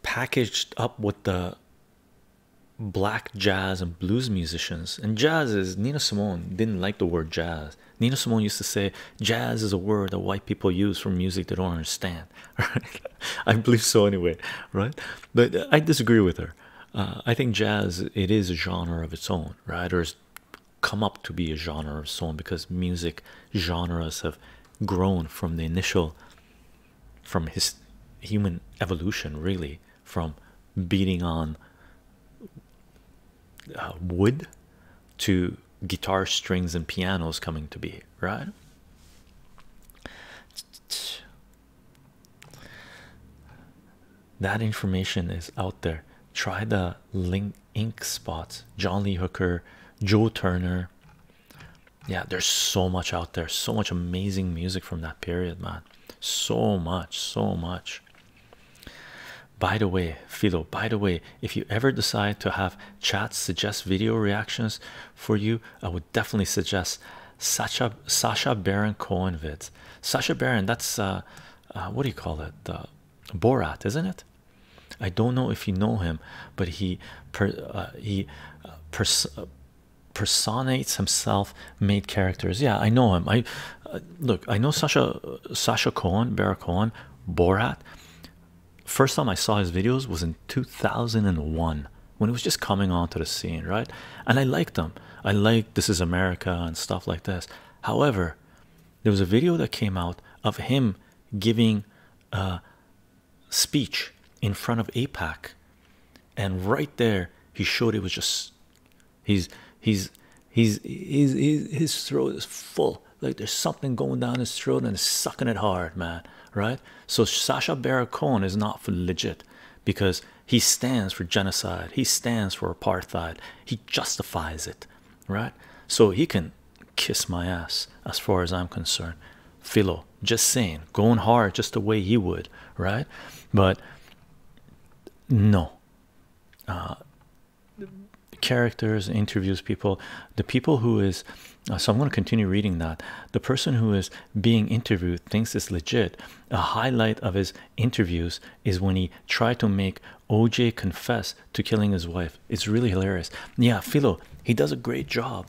packaged up with the black jazz and blues musicians, and jazz is Nina Simone didn't like the word jazz. Nina Simone used to say jazz is a word that white people use for music they don't understand. I believe so anyway, right? But I disagree with her. Uh, I think jazz it is a genre of its own, right? Or it's come up to be a genre of its own because music genres have grown from the initial, from his human evolution, really, from beating on uh, wood to guitar strings and pianos coming to be, right? that information is out there. Try the link ink spots, John Lee Hooker, Joe Turner. Yeah, there's so much out there, so much amazing music from that period, man. So much, so much. By the way, Philo, by the way, if you ever decide to have chats suggest video reactions for you, I would definitely suggest Sacha Sasha Baron Cohen vids. Sacha Baron, that's uh, uh, what do you call it? Uh, Borat, isn't it? I don't know if you know him, but he uh, he personates himself, made characters. Yeah, I know him. I look, I know Sasha uh, Sasha Cohen, Barack Borat. First time I saw his videos was in 2001 when it was just coming onto the scene, right? And I liked them. I liked this is America and stuff like this. However, there was a video that came out of him giving a speech in front of APAC, and right there he showed it was just he's he's he's he's, he's his throat is full like there's something going down his throat and sucking it hard man right so sasha baron cohen is not legit because he stands for genocide. He stands for apartheid. He justifies it, right? So he can kiss my ass as far as I'm concerned. Philo, just saying, going hard just the way he would, right? But no. Uh, characters interviews people the people who is uh, so i'm going to continue reading that the person who is being interviewed thinks it's legit a highlight of his interviews is when he tried to make OJ confess to killing his wife. It's really hilarious. Yeah, Philo, he does a great job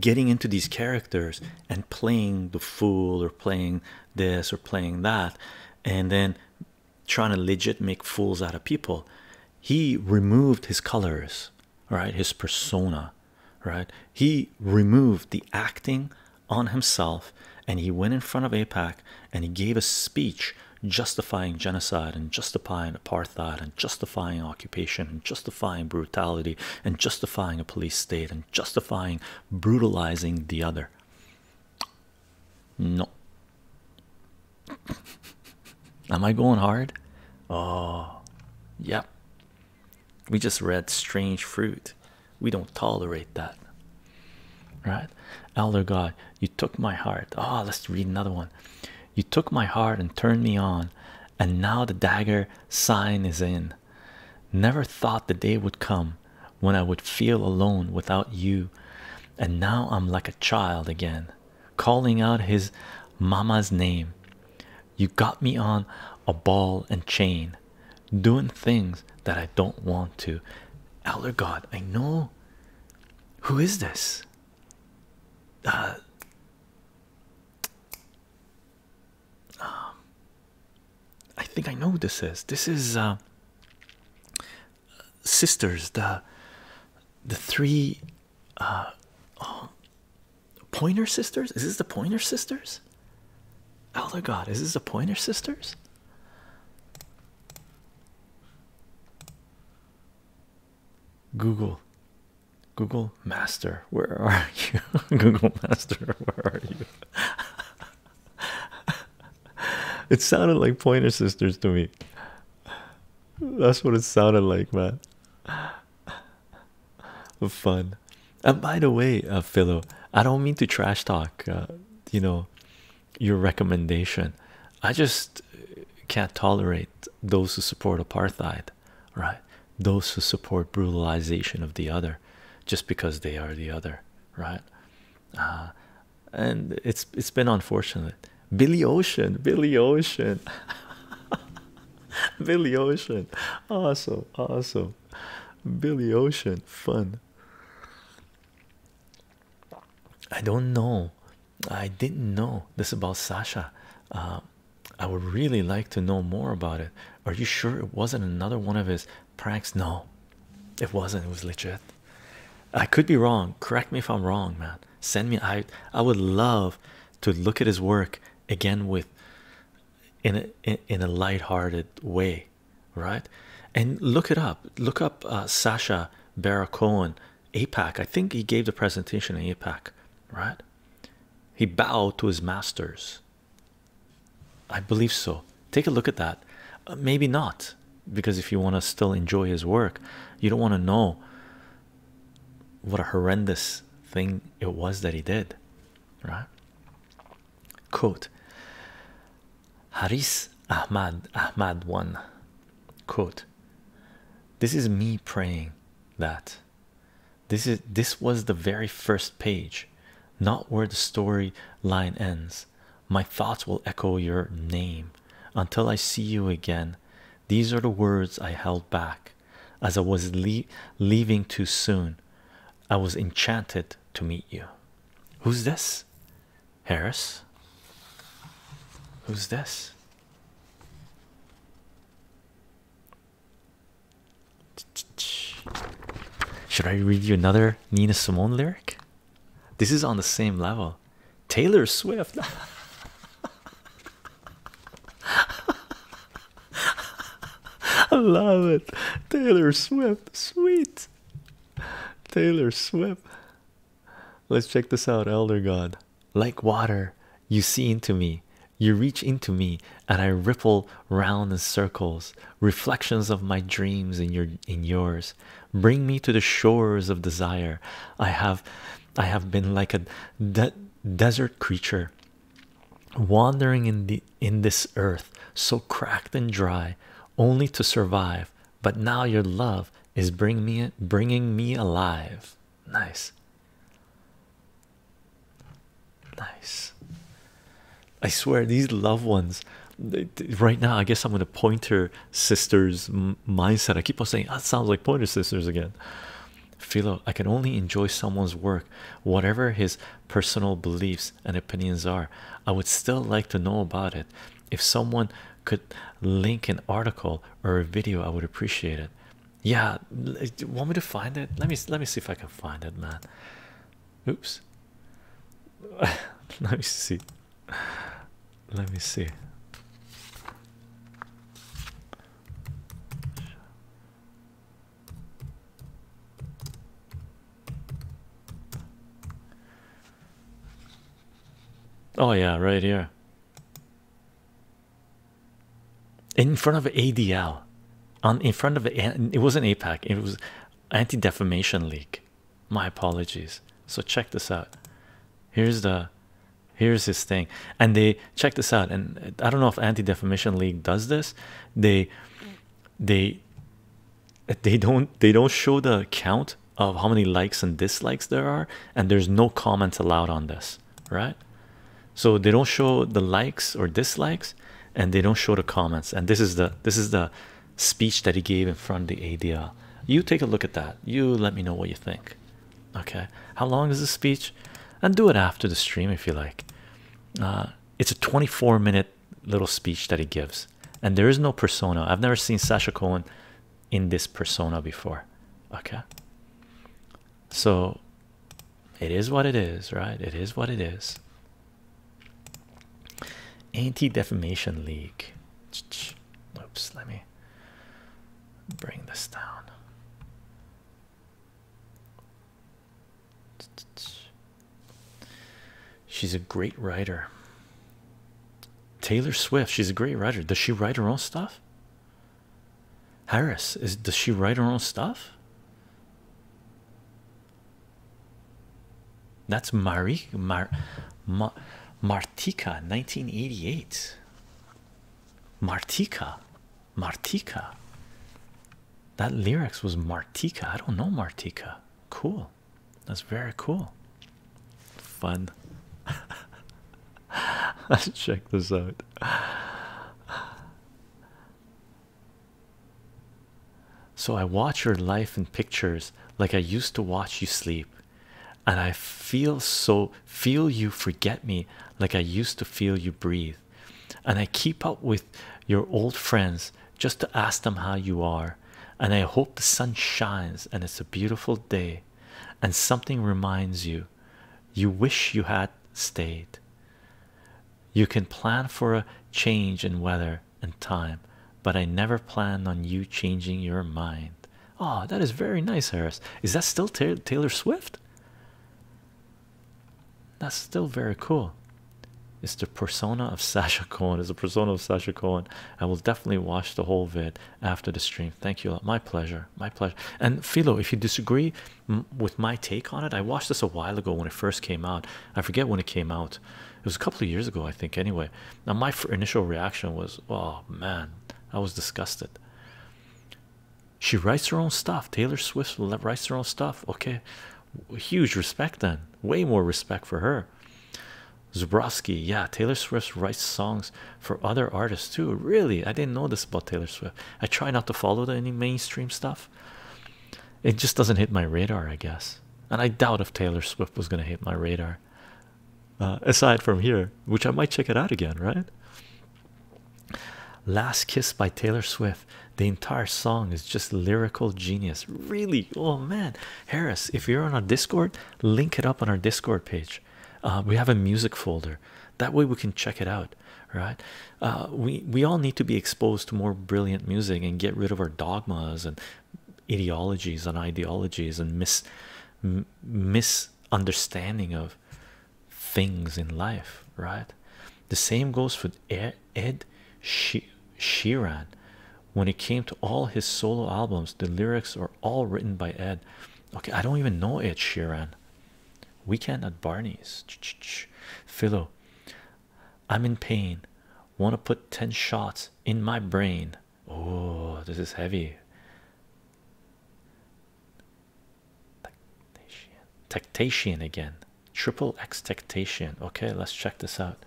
getting into these characters and playing the fool or playing this or playing that and then trying to legit make fools out of people. He removed his colors right his persona right he removed the acting on himself and he went in front of APAC and he gave a speech justifying genocide and justifying apartheid and justifying occupation and justifying brutality and justifying a police state and justifying brutalizing the other no am i going hard oh yep we just read strange fruit. We don't tolerate that. Right? Elder God, you took my heart. Ah, oh, let's read another one. You took my heart and turned me on, and now the dagger sign is in. Never thought the day would come when I would feel alone without you, and now I'm like a child again, calling out his mama's name. You got me on a ball and chain, doing things that I don't want to. Elder God, I know. Who is this? Uh, um, I think I know who this is. This is uh, sisters. The the three. Uh, oh, Pointer Sisters? Is this the Pointer Sisters? Oh my God, is this the Pointer Sisters? Google, Google Master, where are you? Google Master, where are you? it sounded like Pointer Sisters to me. That's what it sounded like, man. Fun. And by the way, uh, Philo, I don't mean to trash talk, uh, you know, your recommendation. I just can't tolerate those who support apartheid, right? Those who support brutalization of the other, just because they are the other, right? Uh, and it's it's been unfortunate. Billy Ocean, Billy Ocean. Billy Ocean, awesome, awesome. Billy Ocean, fun. I don't know. I didn't know this about Sasha. Uh, I would really like to know more about it. Are you sure it wasn't another one of his pranks? No, it wasn't. It was legit. I could be wrong. Correct me if I'm wrong, man. Send me. I I would love to look at his work again with in a, in a light-hearted way right and look it up look up uh, Sasha Baron Cohen APAC I think he gave the presentation in APAC right he bowed to his masters I believe so take a look at that uh, maybe not because if you want to still enjoy his work you don't want to know what a horrendous thing it was that he did right? Quote Haris Ahmad Ahmad one quote This is me praying that this is this was the very first page, not where the story line ends. My thoughts will echo your name until I see you again. These are the words I held back as I was leaving too soon. I was enchanted to meet you. Who's this? Harris. Who's this? Should I read you another Nina Simone lyric? This is on the same level. Taylor Swift. I love it. Taylor Swift. Sweet. Taylor Swift. Let's check this out, Elder God. Like water, you see into me. You reach into me and I ripple round in circles, reflections of my dreams in your in yours. Bring me to the shores of desire. I have I have been like a desert creature wandering in the in this earth so cracked and dry only to survive but now your love is bring me bringing me alive nice nice i swear these loved ones right now i guess i'm in to pointer sisters mindset i keep on saying that sounds like pointer sisters again Philo, I can only enjoy someone's work, whatever his personal beliefs and opinions are. I would still like to know about it. If someone could link an article or a video, I would appreciate it. Yeah, want me to find it? Let me let me see if I can find it, man. Oops. let me see. Let me see. Oh yeah, right here. In front of ADL, on in front of it wasn't APAC, it was Anti Defamation League. My apologies. So check this out. Here's the, here's this thing, and they check this out. And I don't know if Anti Defamation League does this, they they they don't they don't show the count of how many likes and dislikes there are and there's no comments allowed on this right so they don't show the likes or dislikes and they don't show the comments and this is the this is the speech that he gave in front of the ADL you take a look at that you let me know what you think okay how long is the speech and do it after the stream if you like uh it's a 24 minute little speech that he gives and there is no persona i've never seen sasha cohen in this persona before okay so it is what it is right it is what it is anti-defamation league oops let me bring this down She's a great writer. Taylor Swift, she's a great writer. Does she write her own stuff? Harris, does she write her own stuff? That's Marie Martika 1988. Martika, Martika. That lyrics was Martika. I don't know Martika. Cool. That's very cool. Fun. Let's check this out. So I watch your life in pictures like I used to watch you sleep, and I feel so feel you forget me like I used to feel you breathe and i keep up with your old friends just to ask them how you are and i hope the sun shines and it's a beautiful day and something reminds you you wish you had stayed you can plan for a change in weather and time but i never planned on you changing your mind oh that is very nice harris is that still taylor swift that's still very cool. It's the persona of Sasha Cohen. It's the persona of Sasha Cohen. I will definitely watch the whole vid after the stream. Thank you. My pleasure. My pleasure. And Philo, if you disagree with my take on it, I watched this a while ago when it first came out. I forget when it came out. It was a couple of years ago, I think. Anyway, now my initial reaction was, "Oh man, I was disgusted." She writes her own stuff. Taylor Swift writes her own stuff. Okay, huge respect then. Way more respect for her. Zubrowski, yeah, Taylor Swift writes songs for other artists too. Really, I didn't know this about Taylor Swift. I try not to follow any mainstream stuff. It just doesn't hit my radar, I guess. And I doubt if Taylor Swift was gonna hit my radar. Uh, aside from here, which I might check it out again, right? Last Kiss by Taylor Swift. The entire song is just lyrical genius. Really? Oh man, Harris, if you're on our Discord, link it up on our Discord page. Uh, we have a music folder. That way we can check it out, right? Uh, we we all need to be exposed to more brilliant music and get rid of our dogmas and ideologies and ideologies and mis misunderstanding of things in life, right? The same goes for air, Ed she Sheeran. When it came to all his solo albums, the lyrics are all written by Ed. Okay, I don't even know Ed Sheeran. Weekend at Barney's. Philo, I'm in pain. Want to put 10 shots in my brain. Oh, this is heavy. Tactation again triple expectation. Okay, let's check this out.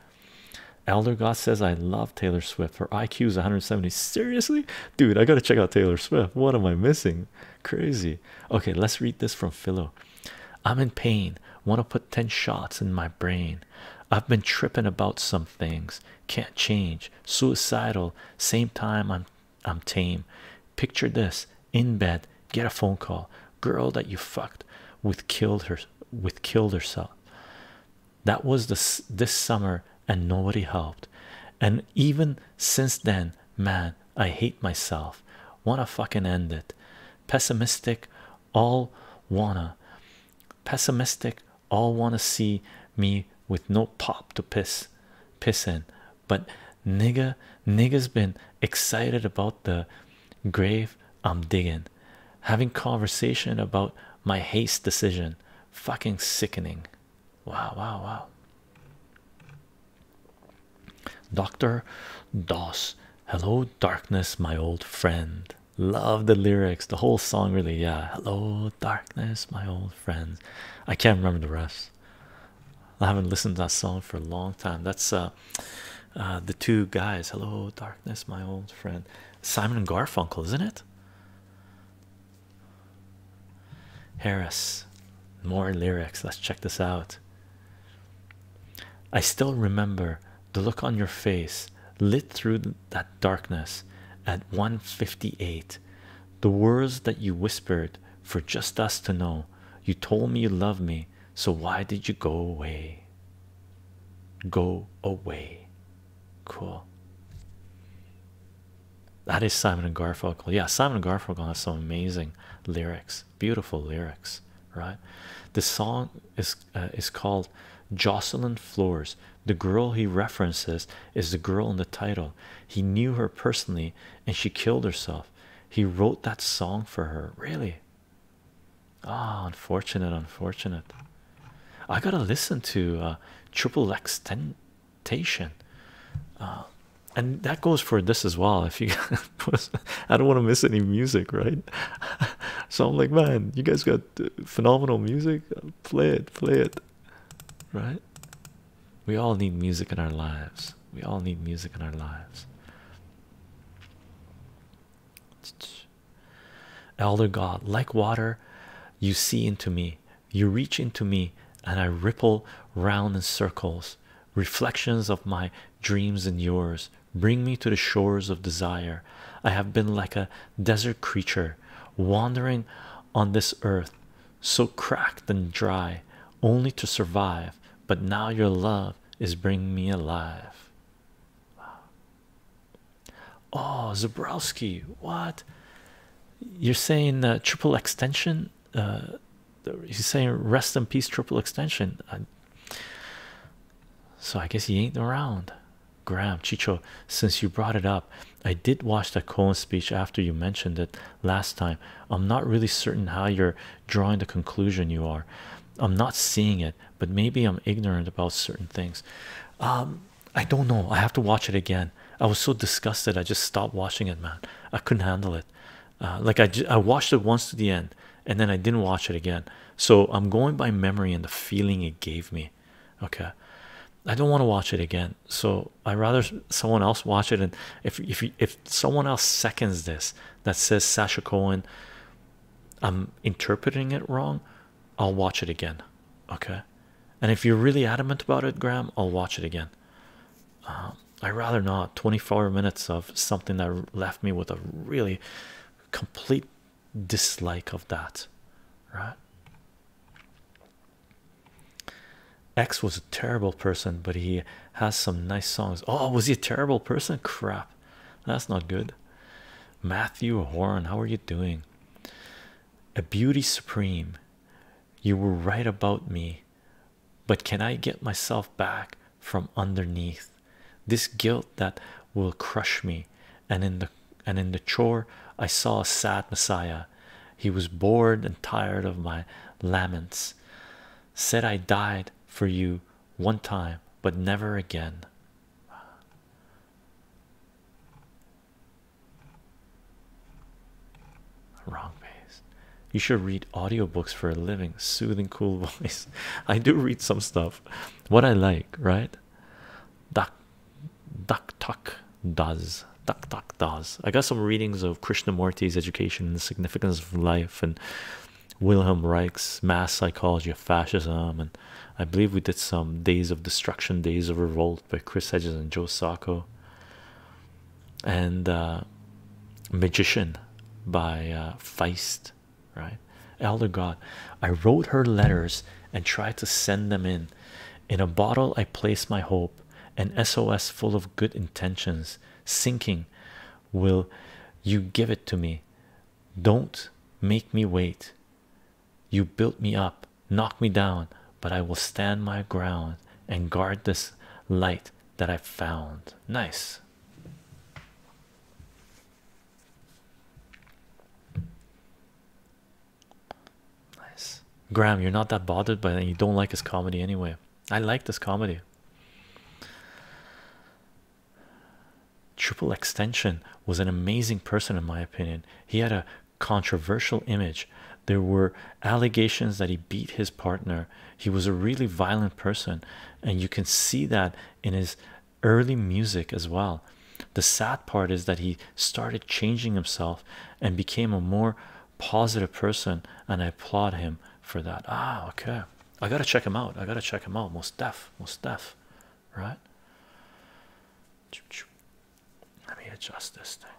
Elder God says, I love Taylor Swift. Her IQ is 170. Seriously? Dude, I gotta check out Taylor Swift. What am I missing? Crazy. Okay, let's read this from Philo. I'm in pain. Want to put 10 shots in my brain. I've been tripping about some things. Can't change. Suicidal. Same time I'm I'm tame. Picture this in bed, get a phone call. Girl that you fucked with killed her with killed herself. That was this this summer and nobody helped. And even since then, man, I hate myself. Wanna fucking end it. Pessimistic, all wanna. Pessimistic, all wanna see me with no pop to piss piss in but nigga nigga's been excited about the grave i'm digging having conversation about my haste decision fucking sickening wow wow wow dr dos hello darkness my old friend love the lyrics the whole song really yeah hello darkness my old friend. i can't remember the rest I haven't listened to that song for a long time. That's uh, uh, the two guys. Hello, darkness, my old friend. Simon and Garfunkel, isn't it? Harris, more lyrics. Let's check this out. I still remember the look on your face lit through that darkness at one fifty-eight. The words that you whispered for just us to know. You told me you love me so why did you go away? Go away. Cool. That is Simon and Garfunkel. Yeah, Simon and Garfunkel has some amazing lyrics, beautiful lyrics, right? The song is uh, is called Jocelyn Floors. The girl he references is the girl in the title. He knew her personally, and she killed herself he wrote that song for her really ah oh, unfortunate unfortunate i gotta listen to uh triple x temptation uh, and that goes for this as well if you i don't want to miss any music right so i'm like man you guys got uh, phenomenal music play it play it right we all need music in our lives we all need music in our lives Elder God, like water, you see into me, you reach into me, and I ripple round in circles. Reflections of my dreams and yours bring me to the shores of desire. I have been like a desert creature, wandering on this earth, so cracked and dry, only to survive. But now your love is bringing me alive. Oh, Zabrowski, what? You're saying uh, triple extension? Uh, he's saying rest in peace, triple extension. so I guess he ain't around. Graham, Chicho, since you brought it up, I did watch that colon speech after you mentioned it last time. I'm not really certain how you're drawing the conclusion you are. I'm not seeing it, but maybe I'm ignorant about certain things. Um, I don't know. I have to watch it again. I was so disgusted. I just stopped watching it, man. I couldn't handle it. Uh, like I, I watched it once to the end, and then I didn't watch it again. So I'm going by memory and the feeling it gave me. Okay, I don't want to watch it again. So I rather someone else watch it. And if if if someone else seconds this, that says Sasha Cohen, I'm interpreting it wrong, I'll watch it again. Okay. And if you're really adamant about it, Graham, I'll watch it again. Um, I'd rather not. 24 minutes of something that left me with a really complete dislike of that. Right? X was a terrible person, but he has some nice songs. Oh, was he a terrible person? Crap, that's not good. Matthew Horan, how are you doing? A beauty supreme. You were right about me, but can I get myself back from underneath this guilt that will crush me? And in the and in the chore, I saw a sad Messiah. He was bored and tired of my laments. Said I died for you one time, but never again. Wrong pace. You should read audio books for a living. Soothing, cool voice. I do read some stuff. What I like, right? Duck, duck, tuck does. Duck, duck does. I got some readings of Krishnamurti's education and the significance of life and Wilhelm Reich's mass psychology of fascism, and I believe we did some days of destruction, days of revolt by Chris Hedges and Joe Sacco, and uh, Magician by uh, Feist, right? Elder God, I wrote her letters and tried to send them in. In a bottle, I placed my hope, an SOS full of good intentions, sinking will you give it to me? Don't make me wait. You built me up, knock me down, but I will stand my ground and guard this light that I found. Nice. Nice. Graham, you're not that bothered, but you don't like his comedy anyway. I like this comedy. Triple Extension was an amazing person, in my opinion. He had a controversial image. There were allegations that he beat his partner. He was a really violent person, and you can see that in his early music as well. The sad part is that he started changing himself and became a more positive person, and I applaud him for that. Ah, okay. I gotta check him out. I gotta check him out. Most def, most def, right? Let me adjust this thing.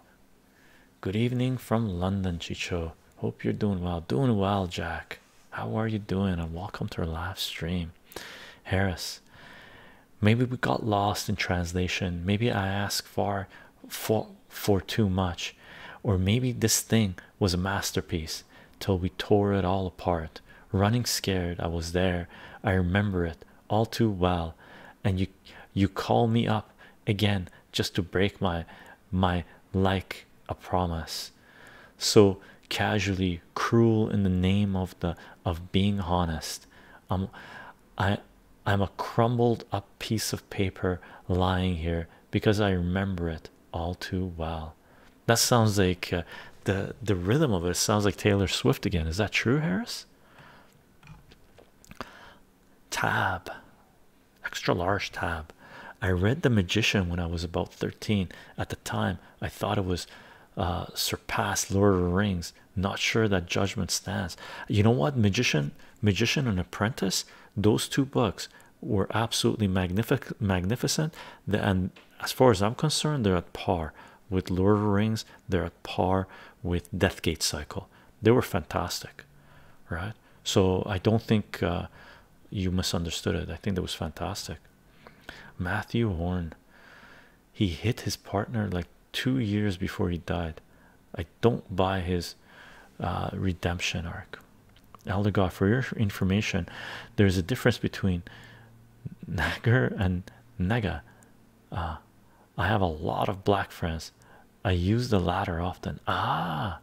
Good evening from London, Chicho. Hope you're doing well. Doing well, Jack. How are you doing? And welcome to our live stream, Harris. Maybe we got lost in translation. Maybe I asked for for for too much, or maybe this thing was a masterpiece till we tore it all apart. Running scared, I was there. I remember it all too well. And you you call me up again just to break my my like a promise. So casually cruel in the name of the of being honest. I'm I I'm a crumbled up piece of paper lying here because I remember it all too well. That sounds like uh, the the rhythm of it sounds like Taylor Swift again. Is that true, Harris? Tab, extra large tab. I read The Magician when I was about 13. At the time, I thought it was uh, surpassed Lord of the Rings. Not sure that judgment stands. You know what? Magician, Magician and Apprentice, those two books were absolutely magnificent. and as far as I'm concerned, they're at par with Lord of Rings, they're at par with Deathgate Cycle. They were fantastic, right? So I don't think uh, you misunderstood it. I think that was fantastic. Matthew Horn, he hit his partner like two years before he died. I don't buy his uh, redemption arc, Eldergoth, for your information, there's a difference between Nagar and Nega. Uh, I have a lot of black friends. I use the latter often. Ah,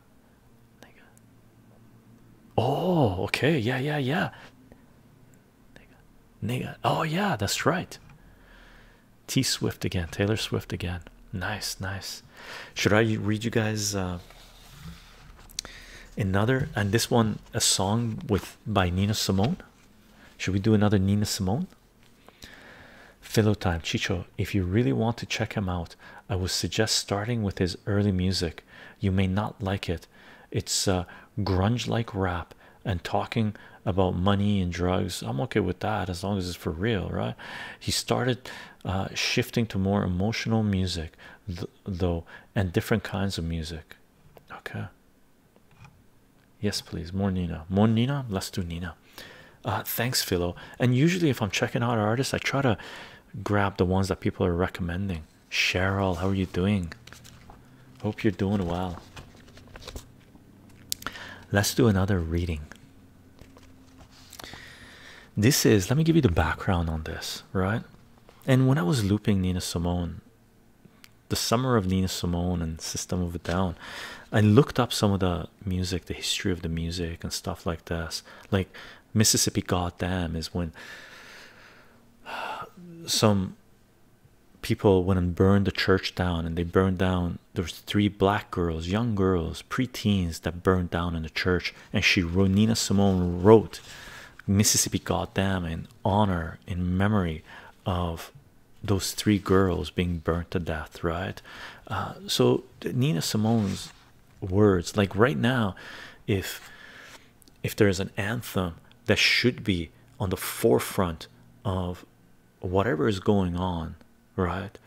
nigga. Oh, okay. Yeah, yeah, yeah. Nigga. Oh, yeah, that's right. T Swift again. Taylor Swift again. Nice, nice. Should I read you guys uh, another and this one a song with by Nina Simone? Should we do another Nina Simone? Fellow time, Chicho. If you really want to check him out, I would suggest starting with his early music. You may not like it. It's uh, grunge-like rap and talking about money and drugs. I'm okay with that as long as it's for real, right? He started uh, shifting to more emotional music, though, and different kinds of music. Okay. Yes, please. More Nina. More Nina. Let's do Nina. Uh, thanks, Philo. And usually, if I'm checking out artists, I try to grab the ones that people are recommending. Cheryl, how are you doing? Hope you're doing well. Let's do another reading. This is, let me give you the background on this right? And when I was looping Nina Simone, the summer of Nina Simone and System of a Down, I looked up some of the music, the history of the music, and stuff like this. Like Mississippi Goddamn is when some people went and burned the church down, and they burned down. There was three black girls, young girls, pre-teens, that burned down in the church, and she nina simone wrote mississippi Goddam, in honor in memory of those three girls being burnt to death right uh, so nina simone's words like right now if if there is an anthem that should be on the forefront of whatever is going on right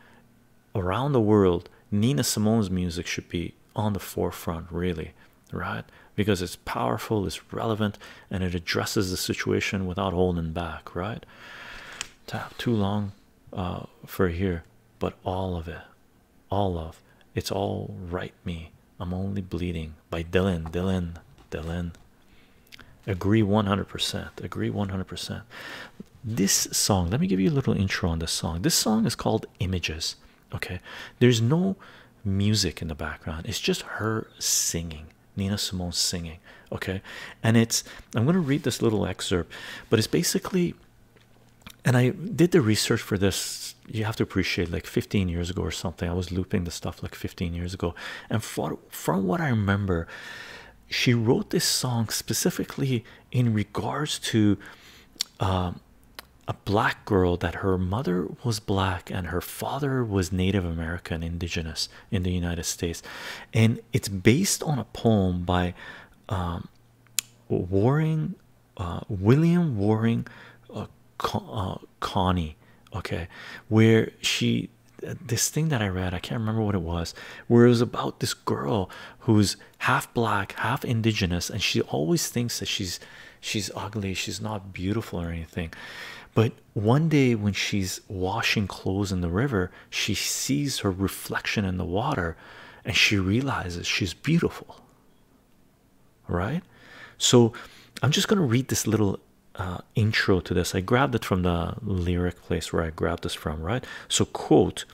around the world nina simone's music should be on the forefront really right because it's powerful it's relevant and it addresses the situation without holding back right tap too long uh, for here but all of it all of it's all right me i'm only bleeding by dylan Delin, Delin. agree 100% agree 100% this song let me give you a little intro on this song this song is called images Okay, there's no music in the background, it's just her singing, Nina Simone singing. Okay, and it's I'm going to read this little excerpt, but it's basically and I did the research for this. You have to appreciate like 15 years ago or something. I was looping the stuff like 15 years ago, and for, from what I remember, she wrote this song specifically in regards to um, a black girl that her mother was black and her father was Native American, indigenous in the United States, and it's based on a poem by um, uh, William Waring uh, uh, Connie. Okay, where she this thing that I read, I can't remember what it was, where it was about this girl who's half black, half indigenous, and she always thinks that she's she's ugly, she's not beautiful or anything. But one day when she's washing clothes in the river, she sees her reflection in the water and she realizes she's beautiful. Right? So I'm just gonna read this little uh, intro to this. I grabbed it from the lyric place where I grabbed this from, right? So, quote,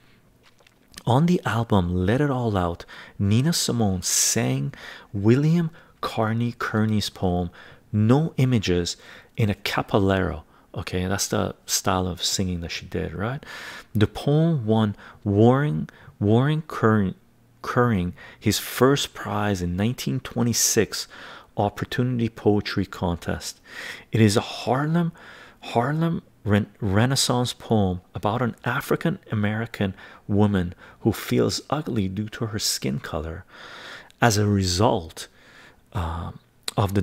on the album Let It All Out, Nina Simone sang William Carney Kearney's poem No Images in a Capolero. Okay, that's the style of singing that she did, right? The poem won Waring Waring Curring, his first prize in 1926 Opportunity Poetry Contest. It is a Harlem, Harlem Renaissance poem about an African American woman who feels ugly due to her skin color as a result um, of the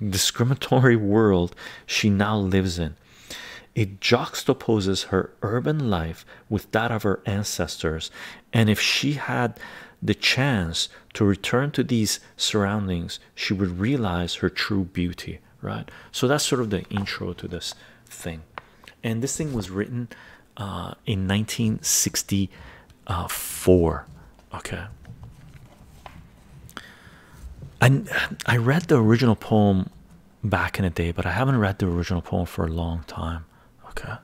discriminatory world she now lives in. It juxtaposes her urban life with that of her ancestors, and if she had the chance to return to these surroundings, she would realize her true beauty, right? So that's sort of the intro to this thing. And this thing was written uh, in 1964. Okay. And I read the original poem back in the day, but I haven't read the original poem for a long time. Okay.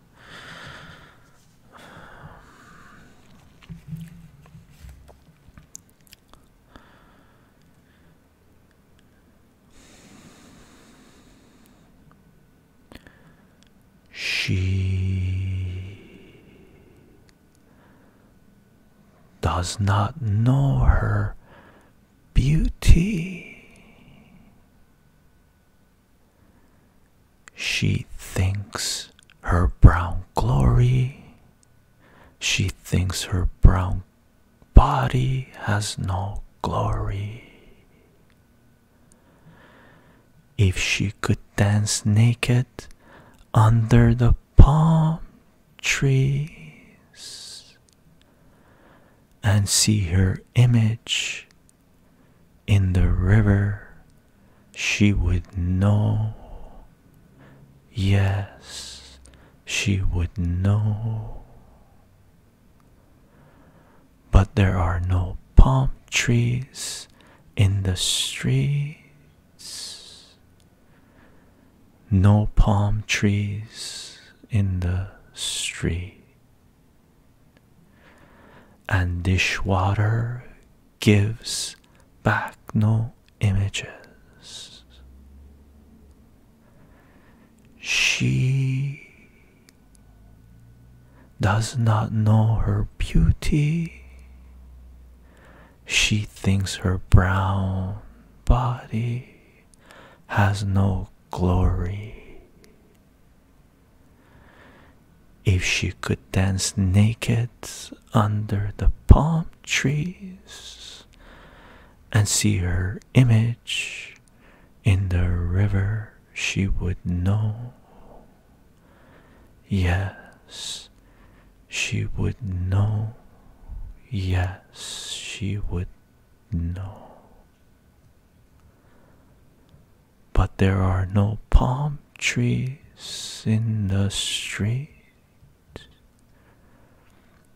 She does not know her beauty. She thinks her brown glory she thinks her brown body has no glory. If she could dance naked under the palm trees and see her image in the river she would know. Yes, she would know. But there are no palm trees in the streets, no palm trees in the street. And dishwater gives back no images. She does not know her beauty. She thinks her brown body has no glory. If she could dance naked under the palm trees and see her image in the river she would know yes she would know yes she would know but there are no palm trees in the street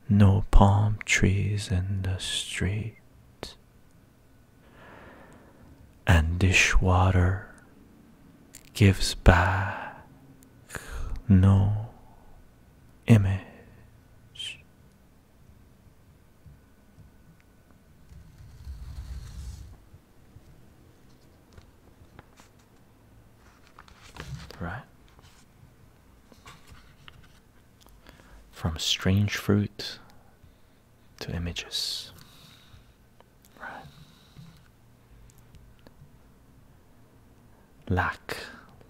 no palm trees in the street. And dishwater gives back no image right? From strange fruit to images, right? Lack,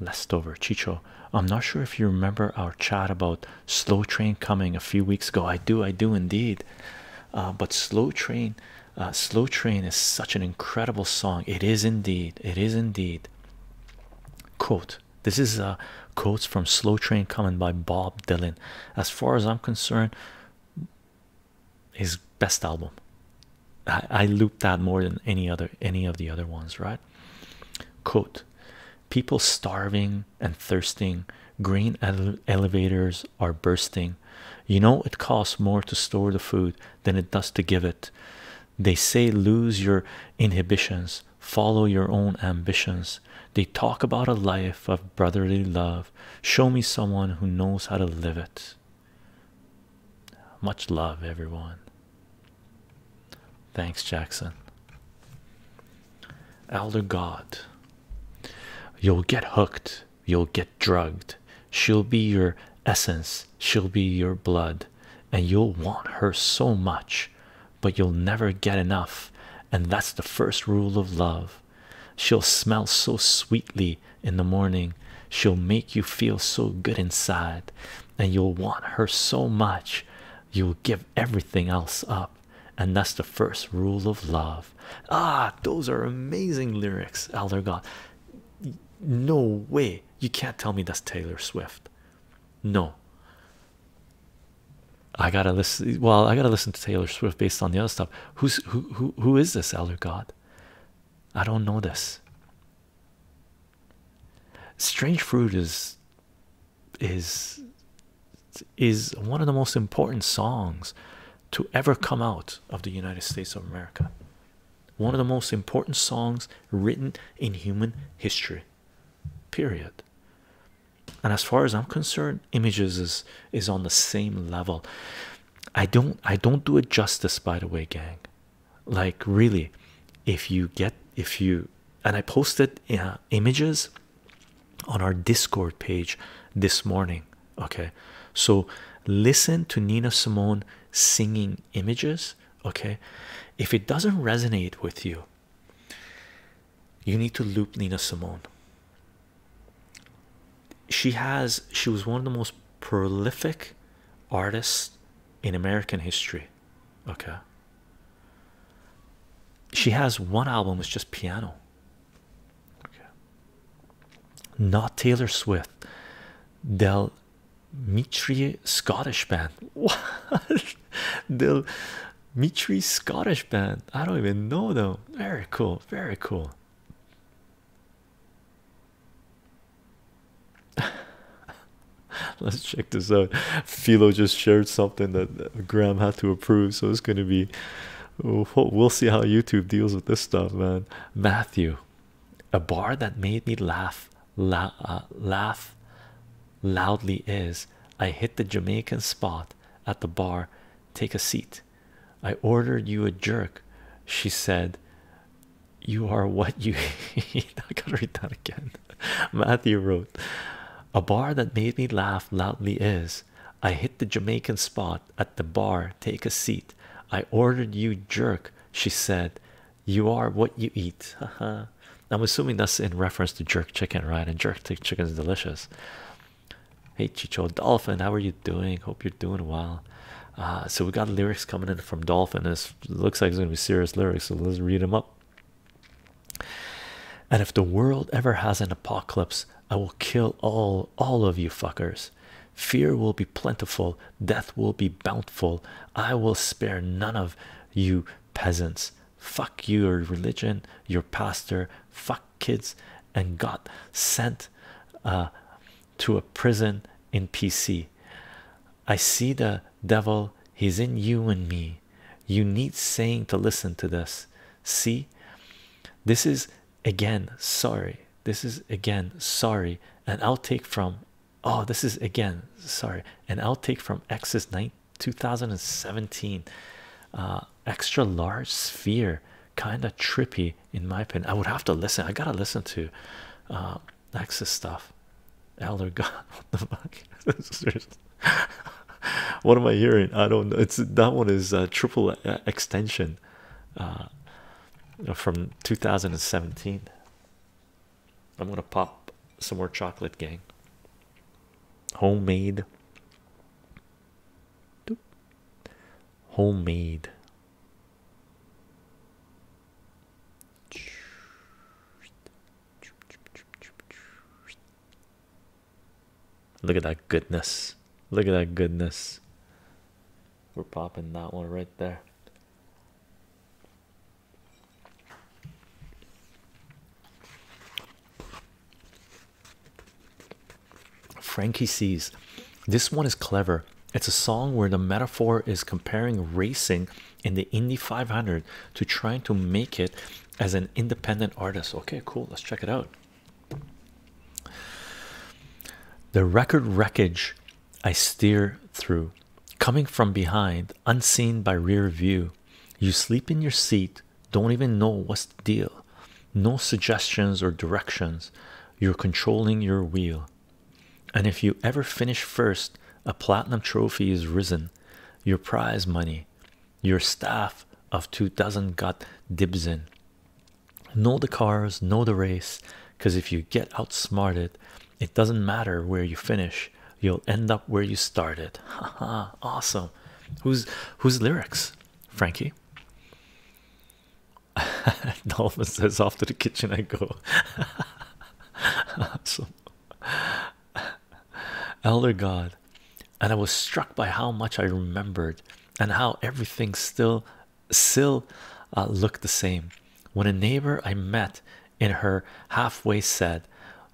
leftover. Chicho, I'm not sure if you remember our chat about slow train coming a few weeks ago. I do, I do indeed. Uh, but slow train uh, Slow Train is such an incredible song. It is indeed. It is indeed. Quote This is uh, quotes from Slow Train coming by Bob Dylan. As far as I'm concerned, his best album. I, loop that more than any other any of the other ones, right? Quote People starving and thirsting, green elevators are bursting. You know, it costs more to store the food than it does to give it. They say, lose your inhibitions, follow your own ambitions. They talk about a life of brotherly love. Show me someone who knows how to live it. Much love, everyone. Thanks, Jackson. Elder God, you'll get hooked you'll get drugged. She'll be your essence, she'll be your blood, and you'll want her so much, but you'll never get enough. And that's the first rule of love. She'll smell so sweetly in the morning, she'll make you feel so good inside, and you'll want her so much, you'll give everything else up. And that's the first rule of love. Ah, those are amazing lyrics, Elder God no way you can't tell me that's taylor swift no i gotta listen well i gotta listen to taylor swift based on the other stuff who's who who, who is this elder god i don't know this strange fruit is is is one of the most important songs to ever come out of the united states of america one of the most important songs written in human history period and as far as i'm concerned images is is on the same level i don't i don't do it justice by the way gang like really if you get if you and i posted uh, images on our discord page this morning okay so listen to nina simone singing images okay if it doesn't resonate with you you need to loop nina simone she has she was one of the most prolific artists in american history okay she has one album is just piano okay not Taylor Swift, Del Mitri Scottish band. What? Del Mitri Scottish band. I don't even know though. Very cool. Very cool. Let's check this out. Philo just shared something that Graham had to approve, so it's going to be. Oh, we'll see how YouTube deals with this stuff, man. Matthew, a bar that made me laugh la uh, laugh loudly is i hit the jamaican spot at the bar take a seat i ordered you a jerk she said you are what you i gotta read that again matthew wrote a bar that made me laugh loudly is i hit the jamaican spot at the bar take a seat i ordered you jerk she said you are what you eat haha i'm assuming that's in reference to jerk chicken right and jerk chicken is delicious hey chicho dolphin how are you doing hope you're doing well uh, so we got lyrics coming in from dolphin this looks like it's gonna be serious lyrics so let's read them up and if the world ever has an apocalypse i will kill all all of you fuckers Fear will be plentiful, death will be bountiful. I will spare none of you peasants. Fuck your religion, your pastor, fuck kids, and got sent uh, to a prison in PC. I see the devil, he's in you and me. You need saying to listen to this. See, this is again sorry this is again sorry and i'll take from oh this is again sorry and i'll take from Axis 9 2017 uh extra large sphere kind of trippy in my opinion i would have to listen i gotta listen to uh axis stuff elder god what the fuck what am i hearing i don't know it's that one is a uh, triple uh, extension uh, from 2017. I'm gonna pop some more chocolate, gang. Homemade, homemade. Look at that goodness. Look at that goodness. We're popping that one right there. Frankie sees this one is clever. It's a song where the metaphor is comparing racing in the Indy 500 to trying to make it as an independent artist. Okay, cool. Let's check it out. The record wreckage I steer through, coming from behind, unseen by rear view. You sleep in your seat, don't even know what's the deal. No suggestions or directions. You're controlling your wheel. And if you ever finish first, a platinum trophy is risen. Your prize money, your staff of two dozen got dibs in know the cars, know the race, because if you get outsmarted, it doesn't matter where you finish, you'll end up where you started. Haha, awesome. Who's whose lyrics? Frankie. Dolphin says off to the kitchen I go. awesome. Elder God, and I was struck by how much I remembered and how everything still still uh, looked the same. When a neighbor I met in her halfway said,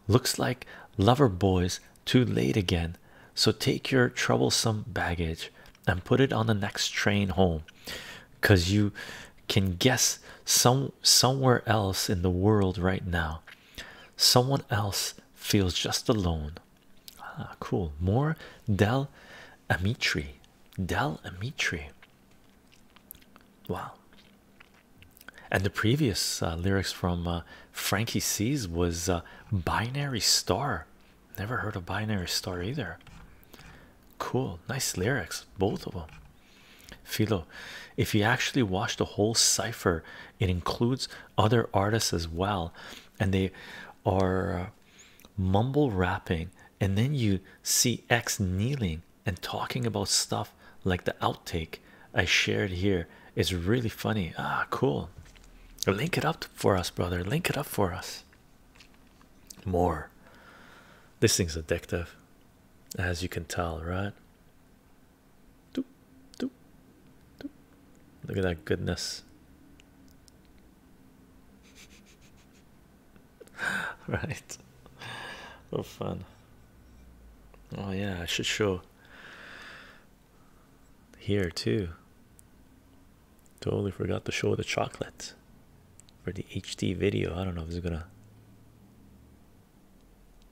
Looks like lover boys too late again, so take your troublesome baggage and put it on the next train home because you can guess some somewhere else in the world right now someone else feels just alone ah, cool more Dell. Amitri, Del Amitri. Wow. And the previous uh, lyrics from uh, Frankie C's was uh, Binary Star. Never heard of Binary Star either. Cool, nice lyrics, both of them. Philo, if you actually watch the whole cipher, it includes other artists as well, and they are mumble rapping and then you see X kneeling and talking about stuff like the outtake I shared here is really funny. Ah, cool. Link it up for us, brother. Link it up for us. More. This thing's addictive, as you can tell, right? Doop, doop, doop. Look at that goodness. right? For oh, fun. Oh, yeah, I should show here too. Totally forgot to show the chocolate for the HD video. I don't know if it's gonna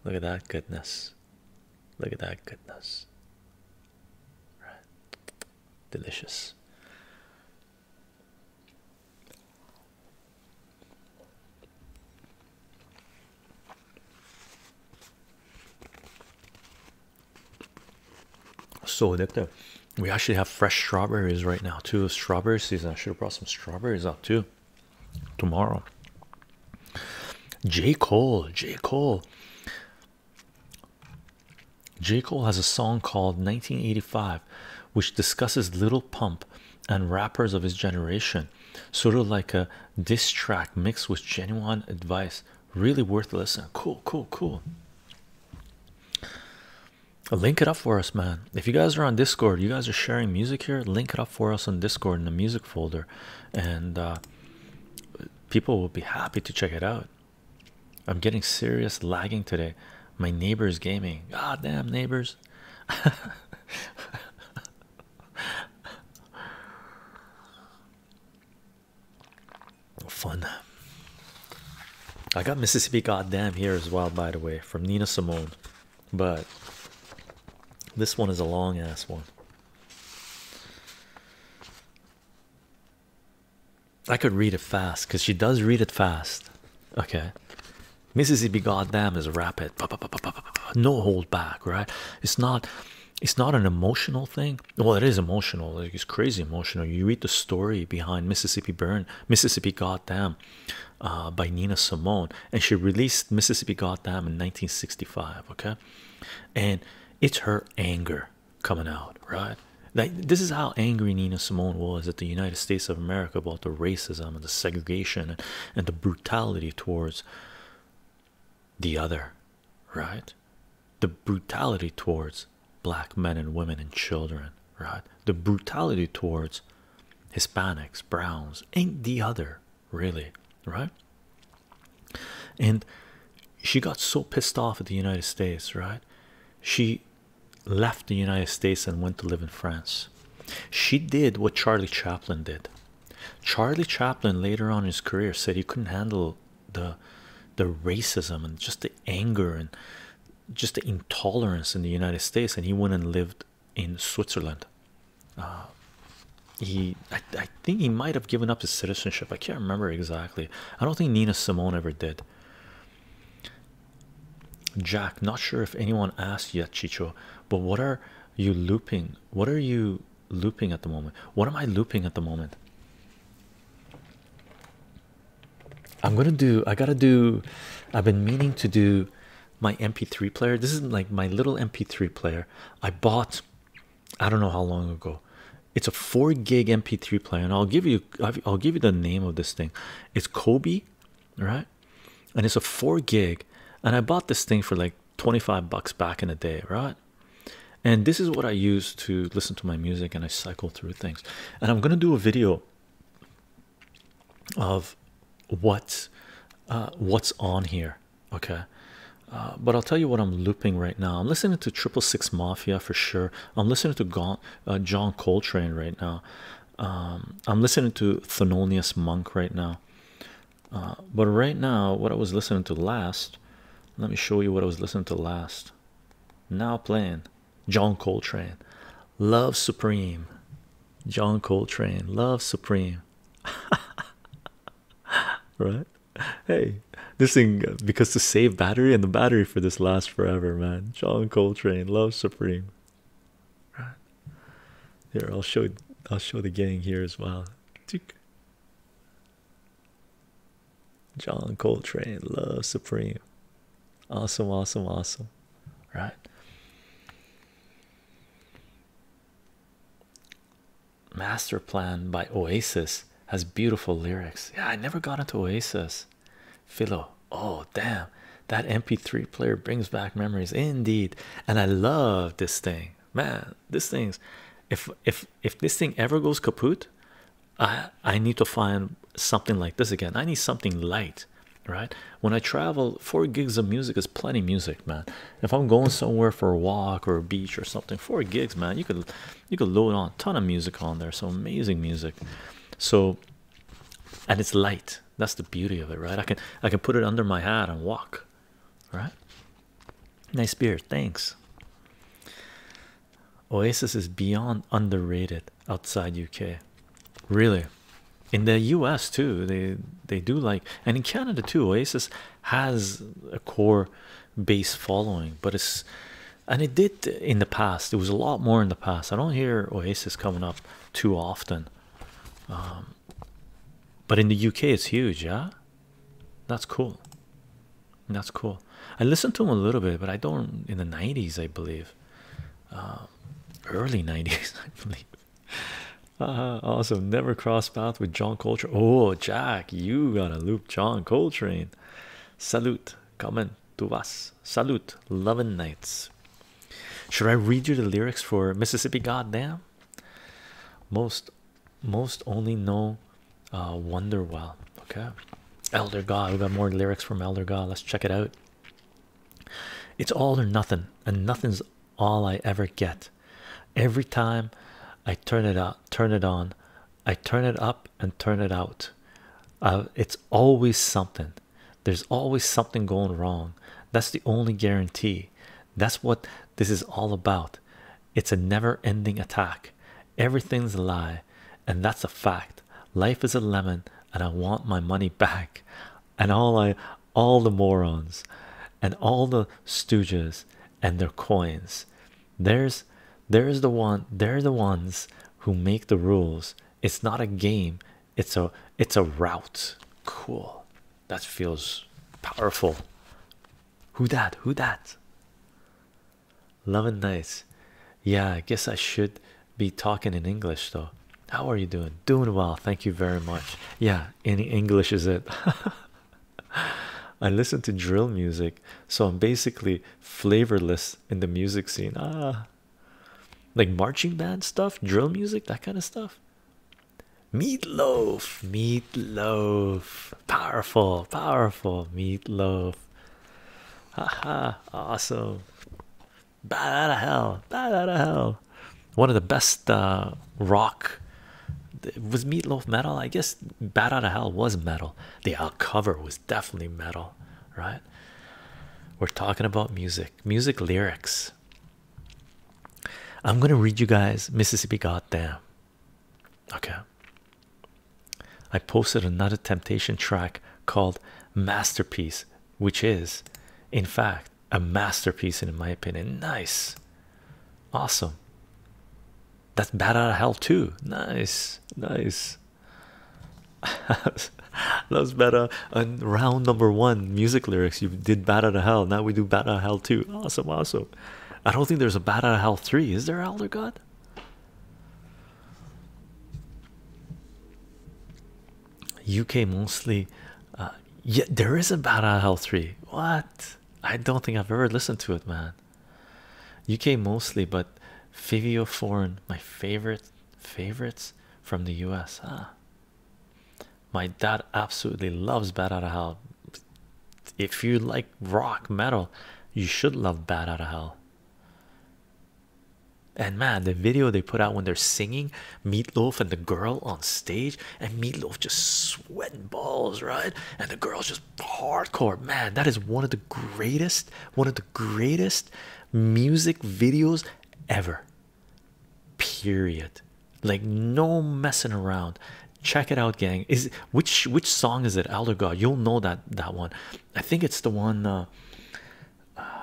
look at that goodness. Look at that goodness. Right. Delicious. So addictive. We actually have fresh strawberries right now, too. Strawberry season. I should have brought some strawberries up too tomorrow. J. Cole, J. Cole J. Cole has a song called 1985, which discusses Little Pump and rappers of his generation, sort of like a diss track mixed with genuine advice. Really worth listening. Cool, cool, cool. Link it up for us, man. If you guys are on Discord, you guys are sharing music here, link it up for us on Discord in the music folder, and uh, people will be happy to check it out. I'm getting serious lagging today. My neighbor's gaming. God damn neighbors. Fun. I got Mississippi Goddamn here as well, by the way, from Nina Simone. But this one is a long ass one. I could read it fast because she does read it fast. Okay. Mississippi goddamn is rapid. No hold back, right? It's not it's not an emotional thing. Well, it is emotional. it's crazy emotional. You read the story behind Mississippi Burn, Mississippi Goddamn uh, by Nina Simone, and she released Mississippi Goddamn in 1965, okay? And it's her anger coming out, right? this is how angry Nina Simone was at the United States of America about the racism and the segregation and, and the brutality towards the other, right? The brutality towards black men and women and children, right? The brutality towards Hispanics, Browns, and the other, really, right? And she got so pissed off at the United States, right? She left the United States and went to live in France. She did what Charlie Chaplin did. Charlie Chaplin later on in his career said he couldn't handle the the racism and just the anger and just the intolerance in the United States, and he went and lived in Switzerland. Uh, he, I think he might have given up his citizenship. I can't remember exactly. I don't think Nina Simone ever did. Jack, not sure if anyone asked yet, Chicho, but what are you looping? What are you looping at the moment? What am I looping at the moment? I'm gonna do, I gotta do, I've been meaning to do my MP3 player. This is like my little MP3 player I bought, I don't know how long ago. It's a four gig MP3 player, and I'll give you, I'll give you the name of this thing. It's Kobe, right? And it's a four gig. And I bought this thing for like 25 bucks back in the day, right? And this is what I use to listen to my music and I cycle through things. And I'm gonna do a video of what uh, what's on here, okay? Uh, but I'll tell you what I'm looping right now. I'm listening to Triple Six Mafia for sure. I'm listening to Gaunt. Uh, John Coltrane right now. Um, I'm listening to Thelonious Monk right now. Uh, but right now, what I was listening to last, let me show you what I was listening to last. Now playing John Coltrane, Love Supreme. John Coltrane, Love Supreme. right? Hey, this thing uh, because to save battery and the battery for this lasts forever, man. John Coltrane, love supreme. Right. Here, I'll show I'll show the gang here as well. John Coltrane, love supreme. Awesome, awesome, awesome. Right. Master Plan by Oasis has beautiful lyrics. Yeah, I never got into Oasis. Philo. Oh damn, that MP3 player brings back memories indeed. And I love this thing. Man, this thing, if if if this thing ever goes kaput, I I need to find something like this again. I need something light, right? When I travel, four gigs of music is plenty music, man. If I'm going somewhere for a walk or a beach or something, four gigs, man, you could you could load on a ton of music on there. So amazing music. So and it's light that's the beauty of it right i can i can put it under my hat and walk right nice beer thanks oasis is beyond underrated outside uk really in the us too they they do like and in canada too oasis has a core base following but it's and it did in the past. It was a lot more in the past. I don't hear Oasis coming up too often, um, but in the UK, it's huge. Yeah, that's cool. That's cool. I listened to them a little bit, but I don't in the 90s, I believe. Um, early 90s, I believe. Uh, awesome. Never crossed path with John Coltrane. Oh, Jack, you gotta loop John Coltrane. Salute, coming to us, Salute. Love and nights. Should I read you the lyrics for Mississippi Goddamn? Most most only know uh wonder well. Okay. Elder God, we got more lyrics from Elder God. Let's check it out. It's all or nothing, and nothing's all I ever get. Every time I turn it up, turn it on, I turn it up and turn it out. Uh, it's always something. There's always something going wrong. That's the only guarantee. That's what this is all about. It's a never ending attack. Everything's a lie, and that's a fact. Life is a lemon, and I want my money back. And all I, all the morons, and all the stooges and their coins. There's, there's the one, they're the ones who make the rules it's not a game. It's a it's a route. Cool. That feels powerful. Who that? Who that? Love and nice. Yeah, I guess I should be talking in English though. How are you doing? Doing well. Thank you very much. Yeah, any English is it? I listen to drill music, so I'm basically flavorless in the music scene. Ah, like marching band stuff, drill music, that kind of stuff. Meatloaf, meatloaf, powerful, powerful meatloaf. Haha, awesome. Bad out of hell, bad out of hell. One of the best uh, rock was meatloaf metal. I guess bad out of hell was metal. The uh, cover was definitely metal, right? We're talking about music, music lyrics. I'm going to read you guys Mississippi Goddamn. Okay. I posted another temptation track called Masterpiece, which is, in fact, a masterpiece in my opinion. Nice. Awesome. That's bad out of hell, too. Nice. Nice. That's better. And round number one, music lyrics. You did Bat Out Hell. Now we do Bat Out Hell too. Awesome, awesome. I don't think there's a Bat Out Hell 3. Is there, Elder God? UK mostly. Uh, yeah, there is a Bat Out Hell 3. What? I don't think I've ever listened to it, man. UK mostly, but Fivio Foreign, my favorite favorites from the US. Huh? My dad absolutely loves Bad Out of Hell. If you like rock metal, you should love Bad Out of Hell. And man, the video they put out when they're singing Meatloaf and the girl on stage, and Meatloaf just sweating balls, right? And the girl's just hardcore. Man, that is one of the greatest, one of the greatest music videos ever. Period. Like no messing around. Check it out, gang. Is which which song is it? Elder God. You'll know that that one. I think it's the one. Uh, uh,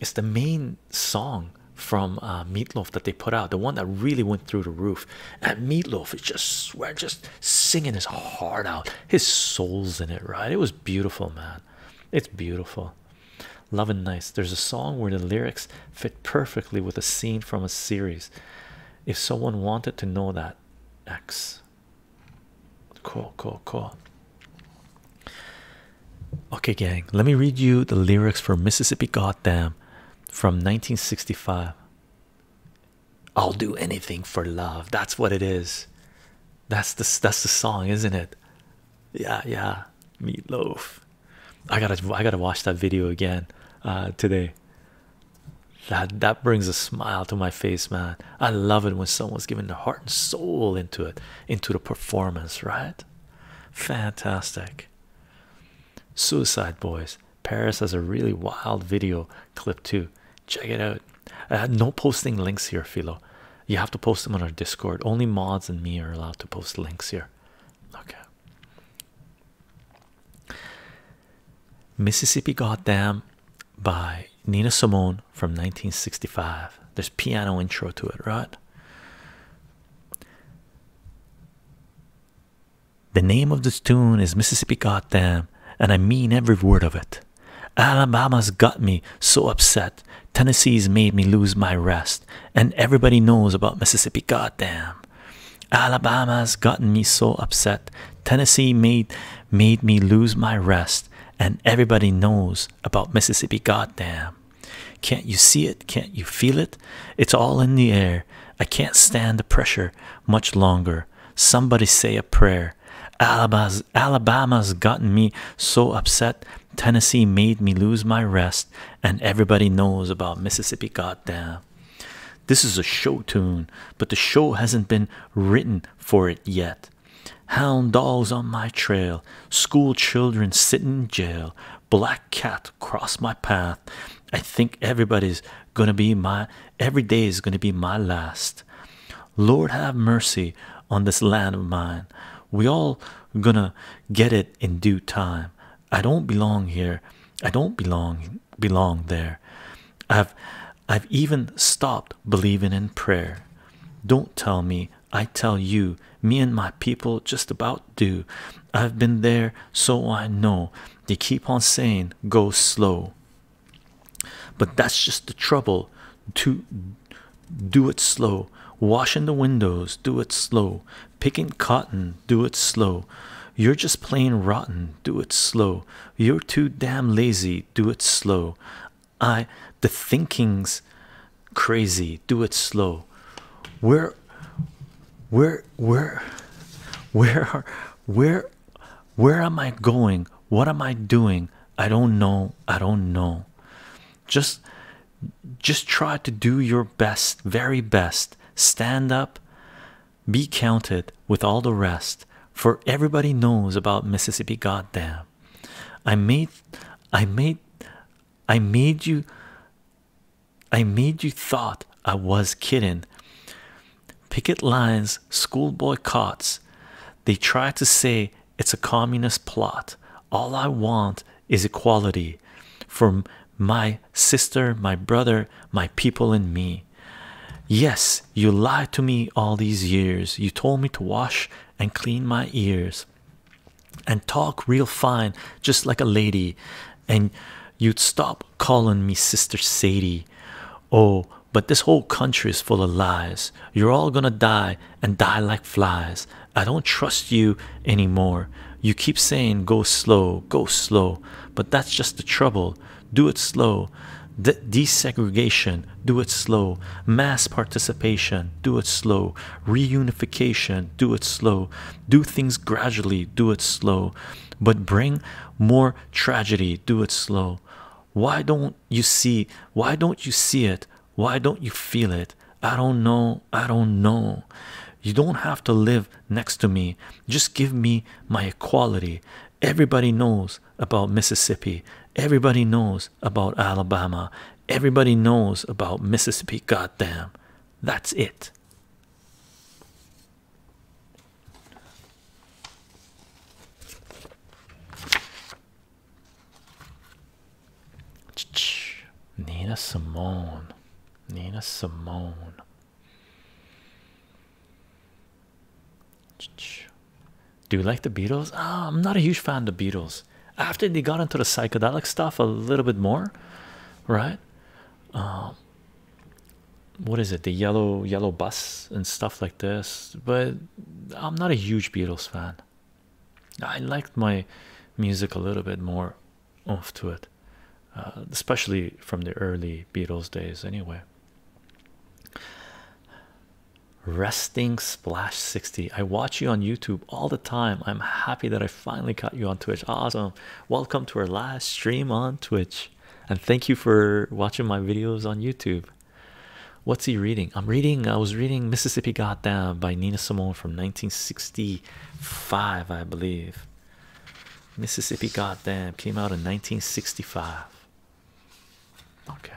it's the main song from uh, Meatloaf that they put out. The one that really went through the roof. And Meatloaf is just swear just singing his heart out. His soul's in it, right? It was beautiful, man. It's beautiful. Love and nice. There's a song where the lyrics fit perfectly with a scene from a series. If someone wanted to know that, X. Cool, cool, cool. Okay, gang, let me read you the lyrics for Mississippi Goddamn from 1965. I'll do anything for love. That's what it is. That's this that's the song, isn't it? Yeah, yeah. Meatloaf. I gotta I gotta watch that video again uh, today. That that brings a smile to my face, man. I love it when someone's giving their heart and soul into it, into the performance, right? Fantastic. Suicide Boys. Paris has a really wild video clip too. Check it out. Uh, no posting links here, Philo. You have to post them on our Discord. Only mods and me are allowed to post links here. Okay. Mississippi Goddam by Nina Simone from 1965. There's piano intro to it, right? The name of this tune is Mississippi Goddam, and I mean every word of it. Alabama's got me so upset. Tennessee's made me lose my rest. And everybody knows about Mississippi. Goddamn. Alabama's gotten me so upset. Tennessee made made me lose my rest. And everybody knows about Mississippi. Goddamn. Can't you see it? Can't you feel it? It's all in the air. I can't stand the pressure much longer. Somebody say a prayer. Alabama's gotten me so upset. Tennessee made me lose my rest, and everybody knows about Mississippi. Goddamn. This is a show tune, but the show hasn't been written for it yet. Hound dogs on my trail, school children sit in jail, black cat cross my path. I think everybody's gonna be my every day is gonna be my last. Lord, have mercy on this land of mine. We all gonna get it in due time. I don't belong here. I don't belong belong there. I've I've even stopped believing in prayer. Don't tell me, I tell you, me and my people just about do. I've been there, so I know. They keep on saying, go slow. But that's just the trouble to do it slow washing the windows do it slow picking cotton do it slow you're just plain rotten do it slow you're too damn lazy do it slow i the thinking's crazy do it slow where where where where are where where am i going what am i doing I don't know. I don't know. Just just try to do your best, very best. Stand up, be counted with all the rest. For everybody knows about Mississippi goddamn. I made I made I made you I made you thought I was kidding. Picket lines, school boycotts. They try to say it's a communist plot. All I want is equality for my sister, my brother, my people, and me. Yes, you lied to me all these years. You told me to wash and clean my ears and talk real fine, just like a lady. And you'd stop calling me Sister Sadie. Oh, but this whole country is full of lies. You're all gonna die and die like flies. I don't trust you anymore. You keep saying go slow, go slow, but that's just the trouble. Do it slow. desegregation, do it slow. Mass participation, do it slow. Reunification, do it slow. Do things gradually, do it slow. But bring more tragedy, do it slow. Why don't you see? Why don't you see it? Why don't you feel it? I don't know. I don't know. You don't have to live next to me. Just give me my equality. Everybody knows about Mississippi. Everybody knows about Alabama. Everybody knows about Mississippi. Goddamn. That's it. Nina Simone. Nina Simone. Do you like the Beatles? Ah, I'm not a huge fan of the Beatles. After they got into the psychedelic stuff a little bit more, right? Um, what is it? The yellow yellow bus and stuff like this. But I'm not a huge Beatles fan. I liked my music a little bit more off to it, uh, especially from the early Beatles days, anyway. Resting Splash 60. I watch you on YouTube all the time. I'm happy that I finally caught you on Twitch. Awesome. Welcome to our last stream on Twitch. And thank you for watching my videos on YouTube. What's he reading? I'm reading, I was reading Mississippi Goddam by Nina Simone from 1965, I believe. Mississippi Goddam came out in 1965. Okay.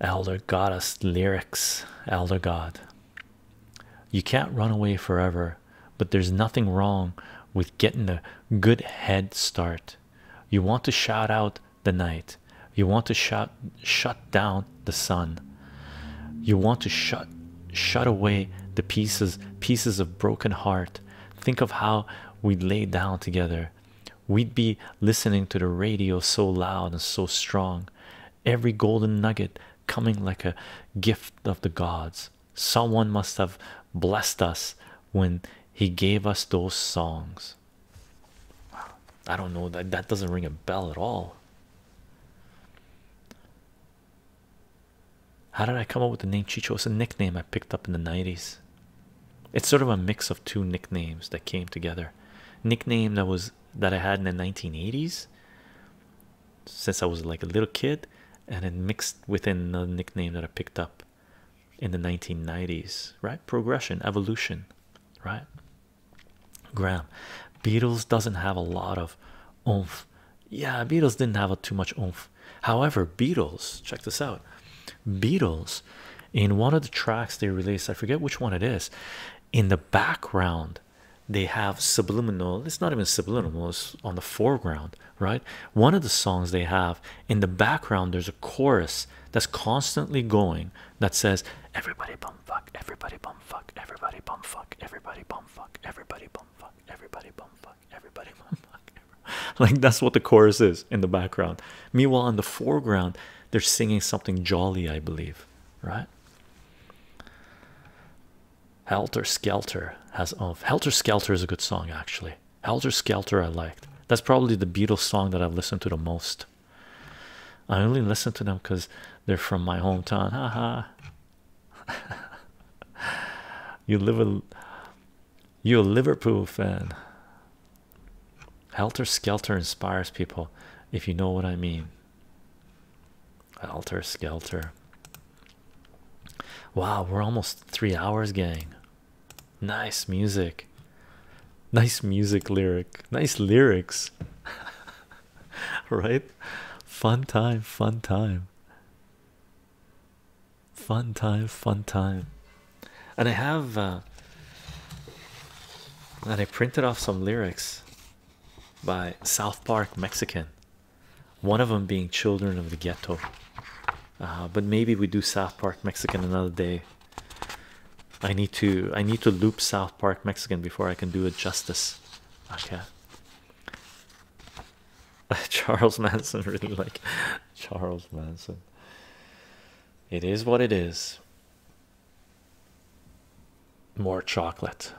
Elder Goddess lyrics, Elder God. You can't run away forever, but there's nothing wrong with getting a good head start. You want to shout out the night you want to shut shut down the sun you want to shut shut away the pieces pieces of broken heart think of how we'd lay down together we'd be listening to the radio so loud and so strong every golden nugget coming like a gift of the gods someone must have blessed us when he gave us those songs I don't know that that doesn't ring a bell at all. How did I come up with the name Chicho? It's a nickname I picked up in the 90s. It's sort of a mix of two nicknames that came together. Nickname that was that I had in the 1980s since I was like a little kid, and it mixed within another nickname that I picked up in the 1990s, right? Progression, evolution, right? Graham, Beatles doesn't have a lot of oomph. Yeah, Beatles didn't have a, too much oomph. However, Beatles, check this out. Beatles, in one of the tracks they released, I forget which one it is, in the background, they have subliminal, it's not even subliminal, it's on the foreground, right? One of the songs they have in the background, there's a chorus that's constantly going that says everybody bum fuck, everybody bum fuck, everybody bum fuck, everybody bum fuck, everybody bum fuck, everybody bum fuck, everybody bum fuck. Like that's what the chorus is in the background. Meanwhile, in the foreground, they're singing something jolly, I believe, right? Helter Skelter has oh Helter Skelter is a good song actually. Helter Skelter I liked. That's probably the Beatles song that I've listened to the most. I only listen to them because they're from my hometown. Haha. you live a you're a Liverpool fan. Helter Skelter inspires people, if you know what I mean. Helter Skelter. Wow, we're almost three hours, gang. Nice music, nice music lyric, nice lyrics, right? Fun time, fun time, fun time, fun time. And I have, uh, and I printed off some lyrics by South Park Mexican, one of them being Children of the Ghetto. Uh, but maybe we do South Park Mexican another day I need to I need to loop South Park Mexican before I can do it justice. Okay. Charles Manson really like Charles Manson. It is what it is. More chocolate.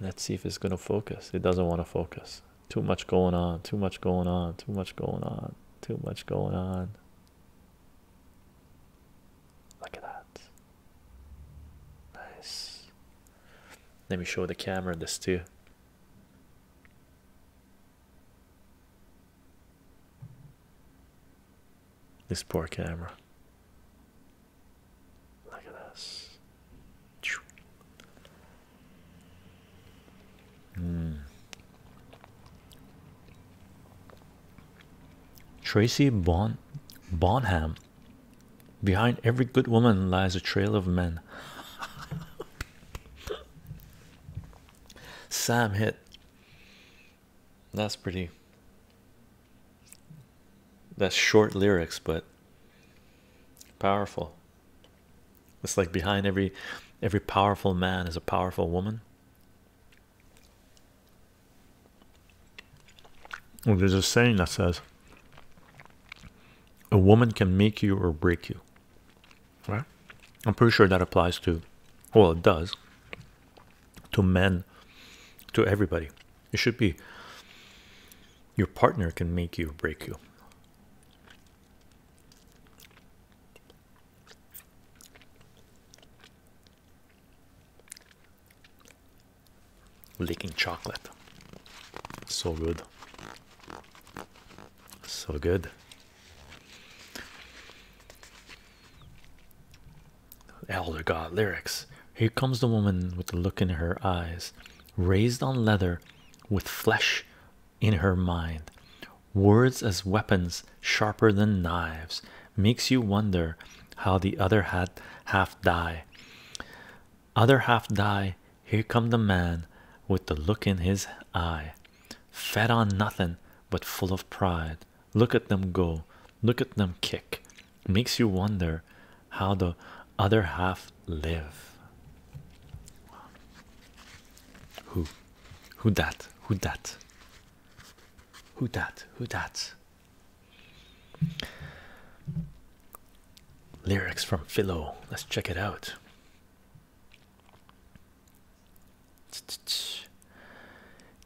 Let's see if it's going to focus. It doesn't want to focus. Too much going on, too much going on, too much going on, too much going on. Look at that. Nice. Let me show the camera this too. This poor camera. Look at this. Mm. Tracy bon Bonham. Behind every good woman lies a trail of men. Sam hit. That's pretty. That's short lyrics, but Powerful. It's like behind every every powerful man is a powerful woman. Well, there's a saying that says a woman can make you or break you. Right? I'm pretty sure that applies to well it does to men to everybody. It should be your partner can make you break you. Licking chocolate. So good. So good. Elder God lyrics. Here comes the woman with the look in her eyes raised on leather with flesh in her mind words as weapons sharper than knives makes you wonder how the other had half die other half die here come the man with the look in his eye fed on nothing but full of pride look at them go look at them kick makes you wonder how the other half live. Who, who that? Who that? Who that? Who that? Lyrics from Philo. Let's check it out.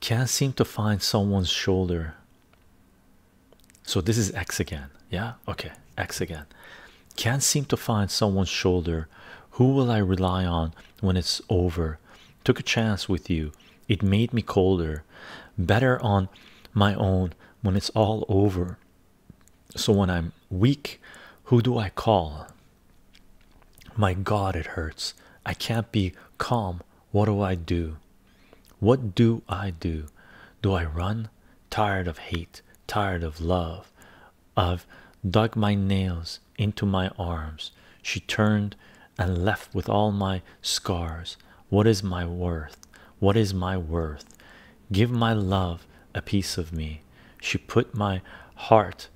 Can't seem to find someone's shoulder so this is X again. Yeah, okay, X again. Can't seem to find someone's shoulder. Who will I rely on when it's over? Took a chance with you. It made me colder. Better on my own when it's all over. So when I'm weak, who do I call? My God, it hurts. I can't be calm. What do I do? What do I do? Do I run? tired of hate, tired of love. I've dug my nails into my arms. She turned and left with all my scars. What is my worth? What is my worth? Give my love a piece of me. She put my heart,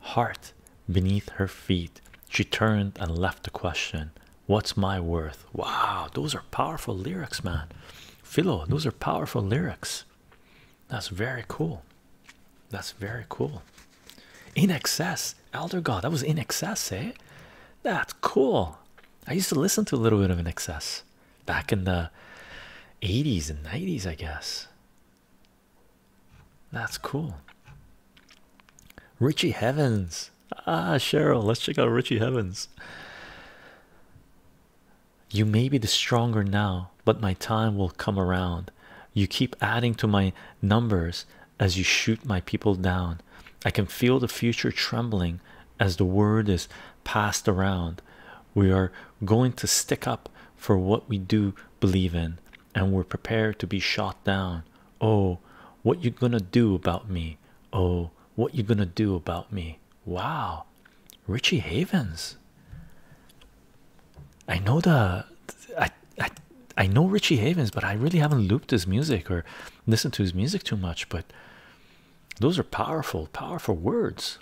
heart beneath her feet. She turned and left the question. What's my worth? Wow, those are powerful lyrics, man. Philo, those are powerful lyrics. That's very cool. That's very cool. In excess, Elder God. That was in excess, eh? That's cool. I used to listen to a little bit of in excess back in the 80s and 90s, I guess. That's cool. Richie Heavens. Ah, Cheryl, let's check out Richie Heavens. You may be the stronger now, but my time will come around. You keep adding to my numbers as you shoot my people down. I can feel the future trembling as the word is passed around. We are going to stick up for what we do believe in, and we're prepared to be shot down. Oh, what you gonna do about me? Oh, what you gonna do about me? Wow, Richie Havens. I know the I I I know Richie Havens, but I really haven't looped his music or listened to his music too much. But those are powerful, powerful words.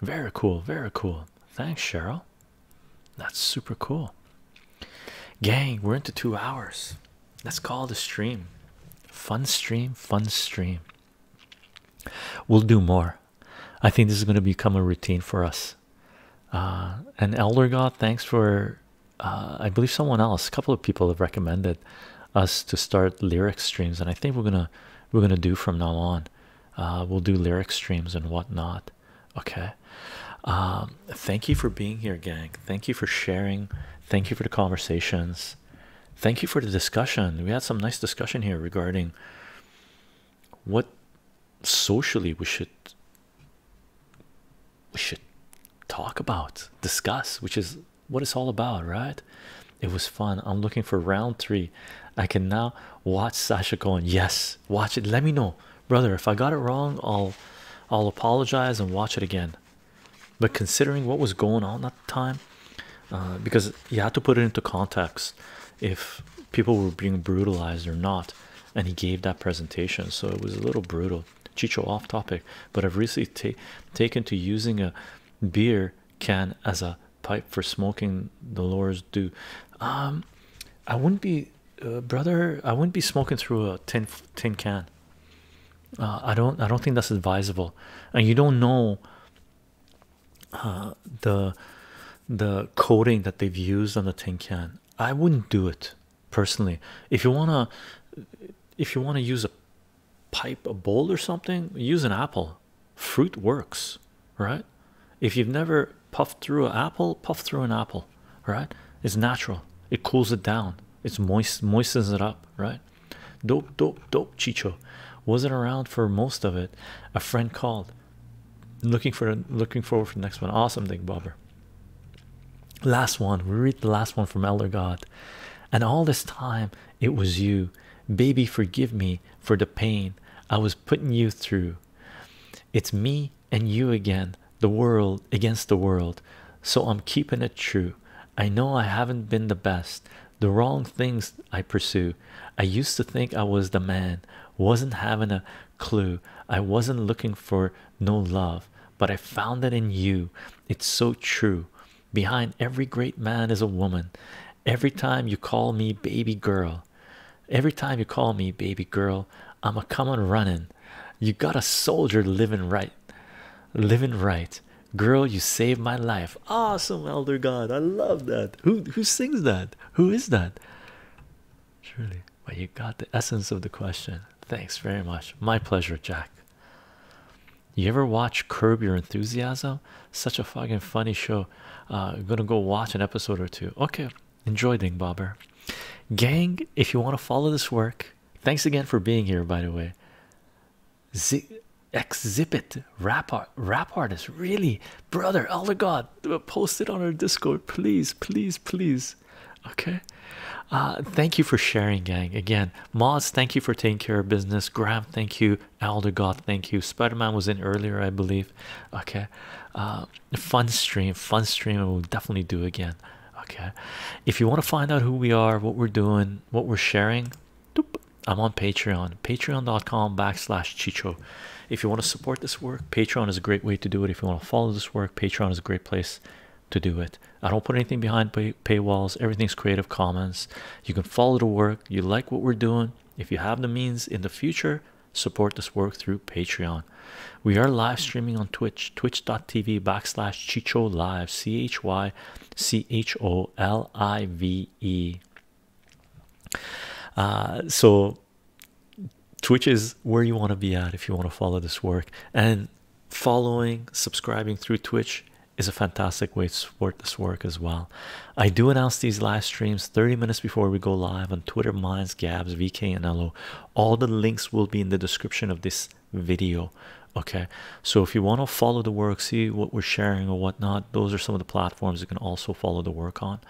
Very cool, very cool. Thanks, Cheryl. That's super cool. Gang, we're into two hours. Let's call the stream. Fun stream, fun stream. We'll do more. I think this is going to become a routine for us. Uh, and Elder God, thanks for. Uh, I believe someone else, a couple of people have recommended us to start lyric streams, and I think we're gonna we're gonna do from now on. Uh, we'll do lyric streams and whatnot. Okay. Um, thank you for being here, gang. Thank you for sharing. Thank you for the conversations. Thank you for the discussion. We had some nice discussion here regarding what socially we should we should talk about, discuss, which is what it's all about, right? It was fun. I'm looking for round three. I can now watch Sasha Cohen. Yes, watch it. Let me know, brother. If I got it wrong, I'll I'll apologize and watch it again but considering what was going on at the time uh, because you had to put it into context if people were being brutalized or not and he gave that presentation so it was a little brutal chicho off topic but i've recently taken to using a beer can as a pipe for smoking the lures do um, i wouldn't be uh, brother i wouldn't be smoking through a tin tin can uh, i don't i don't think that's advisable and you don't know uh, the the coating that they've used on the tin can i wouldn't do it personally if you want to if you want to use a pipe a bowl or something use an apple fruit works right if you've never puffed through an apple puff through an apple right it's natural it cools it down it's moist moistens it up right Dope, dope, dope, Chicho. Wasn't around for most of it. A friend called. Looking for looking forward for the next one. Awesome thing, Bobber. Last one. We read the last one from Elder God. And all this time it was you. Baby, forgive me for the pain I was putting you through. It's me and you again, the world against the world. So I'm keeping it true. I know I haven't been the best. The wrong things I pursue. I used to think I was the man, wasn't having a clue. I wasn't looking for no love, but I found it in you. It's so true. Behind every great man is a woman. Every time you call me baby girl, every time you call me baby girl, I'm a coming running. You got a soldier living right, living right girl you saved my life awesome elder god i love that who who sings that who is that truly but you got the essence of the question thanks very much my pleasure jack you ever watch curb your enthusiasm such a fucking funny show uh gonna go watch an episode or two okay enjoy ding bobber gang if you want to follow this work thanks again for being here by the way exhibit rap art rap artist really brother elder god post it on our discord please please please okay uh, thank you for sharing gang again mods thank you for taking care of business graham thank you elder god thank you spider-man was in earlier i believe okay uh, fun stream fun stream we'll definitely do again okay if you want to find out who we are what we're doing what we're sharing I'm on Patreon, patreon.com backslash Chicho. If you want to support this work, Patreon is a great way to do it. If you want to follow this work, Patreon is a great place to do it. I don't put anything behind pay paywalls. Everything's Creative Commons. You can follow the work. You like what we're doing. If you have the means in the future, support this work through Patreon. We are live streaming on Twitch, twitch.tv backslash Chicho Live, C-H-Y C H O L I V E. Uh, so, Twitch is where you want to be at if you want to follow this work. And following, subscribing through Twitch is a fantastic way to support this work as well. I do announce these live streams 30 minutes before we go live on Twitter, Minds, Gabs, VK, and LO. All the links will be in the description of this video okay so if you want to follow the work see what we're sharing or whatnot those are some of the platforms you can also follow the work on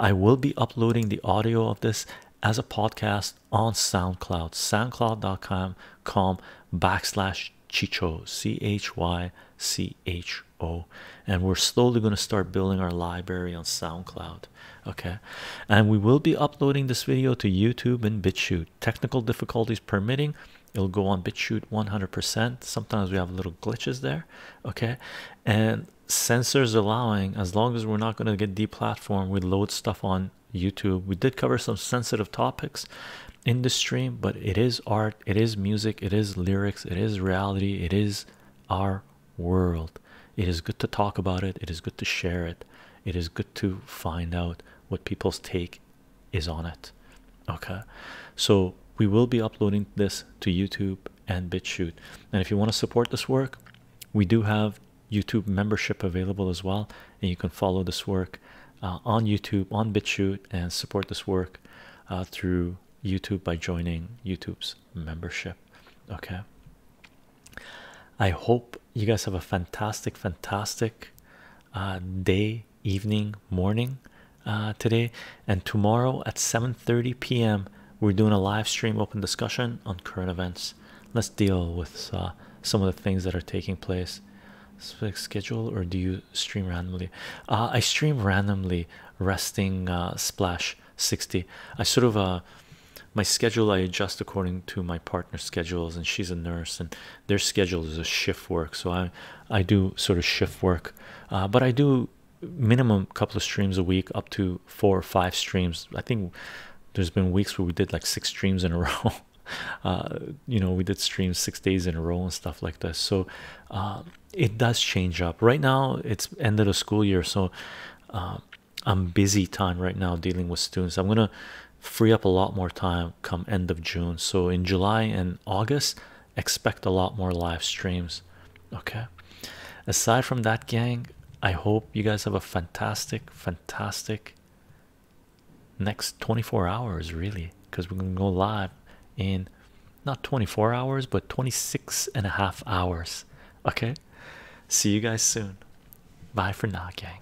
i will be uploading the audio of this as a podcast on soundcloud soundcloud.com backslash chicho c-h-y-c-h-o and we're slowly going to start building our library on soundcloud okay and we will be uploading this video to youtube and bitchute technical difficulties permitting it'll go on BitChute 100%. Sometimes we have little glitches there, okay? And censors allowing, as long as we're not going to get deplatformed, we load stuff on YouTube. We did cover some sensitive topics in the stream, but it is art, it is music, it is lyrics, it is reality, it is our world. It is good to talk about it, it is good to share it, it is good to find out what people's take is on it okay so we will be uploading this to youtube and bitchute and if you want to support this work we do have youtube membership available as well and you can follow this work uh, on youtube on bitchute and support this work uh, through youtube by joining youtube's membership okay i hope you guys have a fantastic fantastic uh, day evening morning uh, today and tomorrow at 7:30 p.m. we're doing a live stream open discussion on current events let's deal with uh, some of the things that are taking place schedule or do you stream randomly uh, I stream randomly resting splash 60 I sort of my schedule I adjust according to my partner's schedules and she's a nurse and their schedule is a shift work so i i do sort of shift work uh, but i do minimum couple of streams a week up to four or five streams i think there's been weeks where we did like six streams in a row uh, you know we did streams six days in a row and stuff like this so uh, it does change up right now it's end of the school year so i'm busy time right now dealing with students i'm gonna free up a lot more time come end of june so in july and August, expect a lot more live streams. Okay, aside from that, gang, I hope you guys have a fantastic, fantastic next 24 hours, really, because we're gonna go live in not 24 hours but 26 and a half hours. Okay, see you guys soon. Bye for now, gang.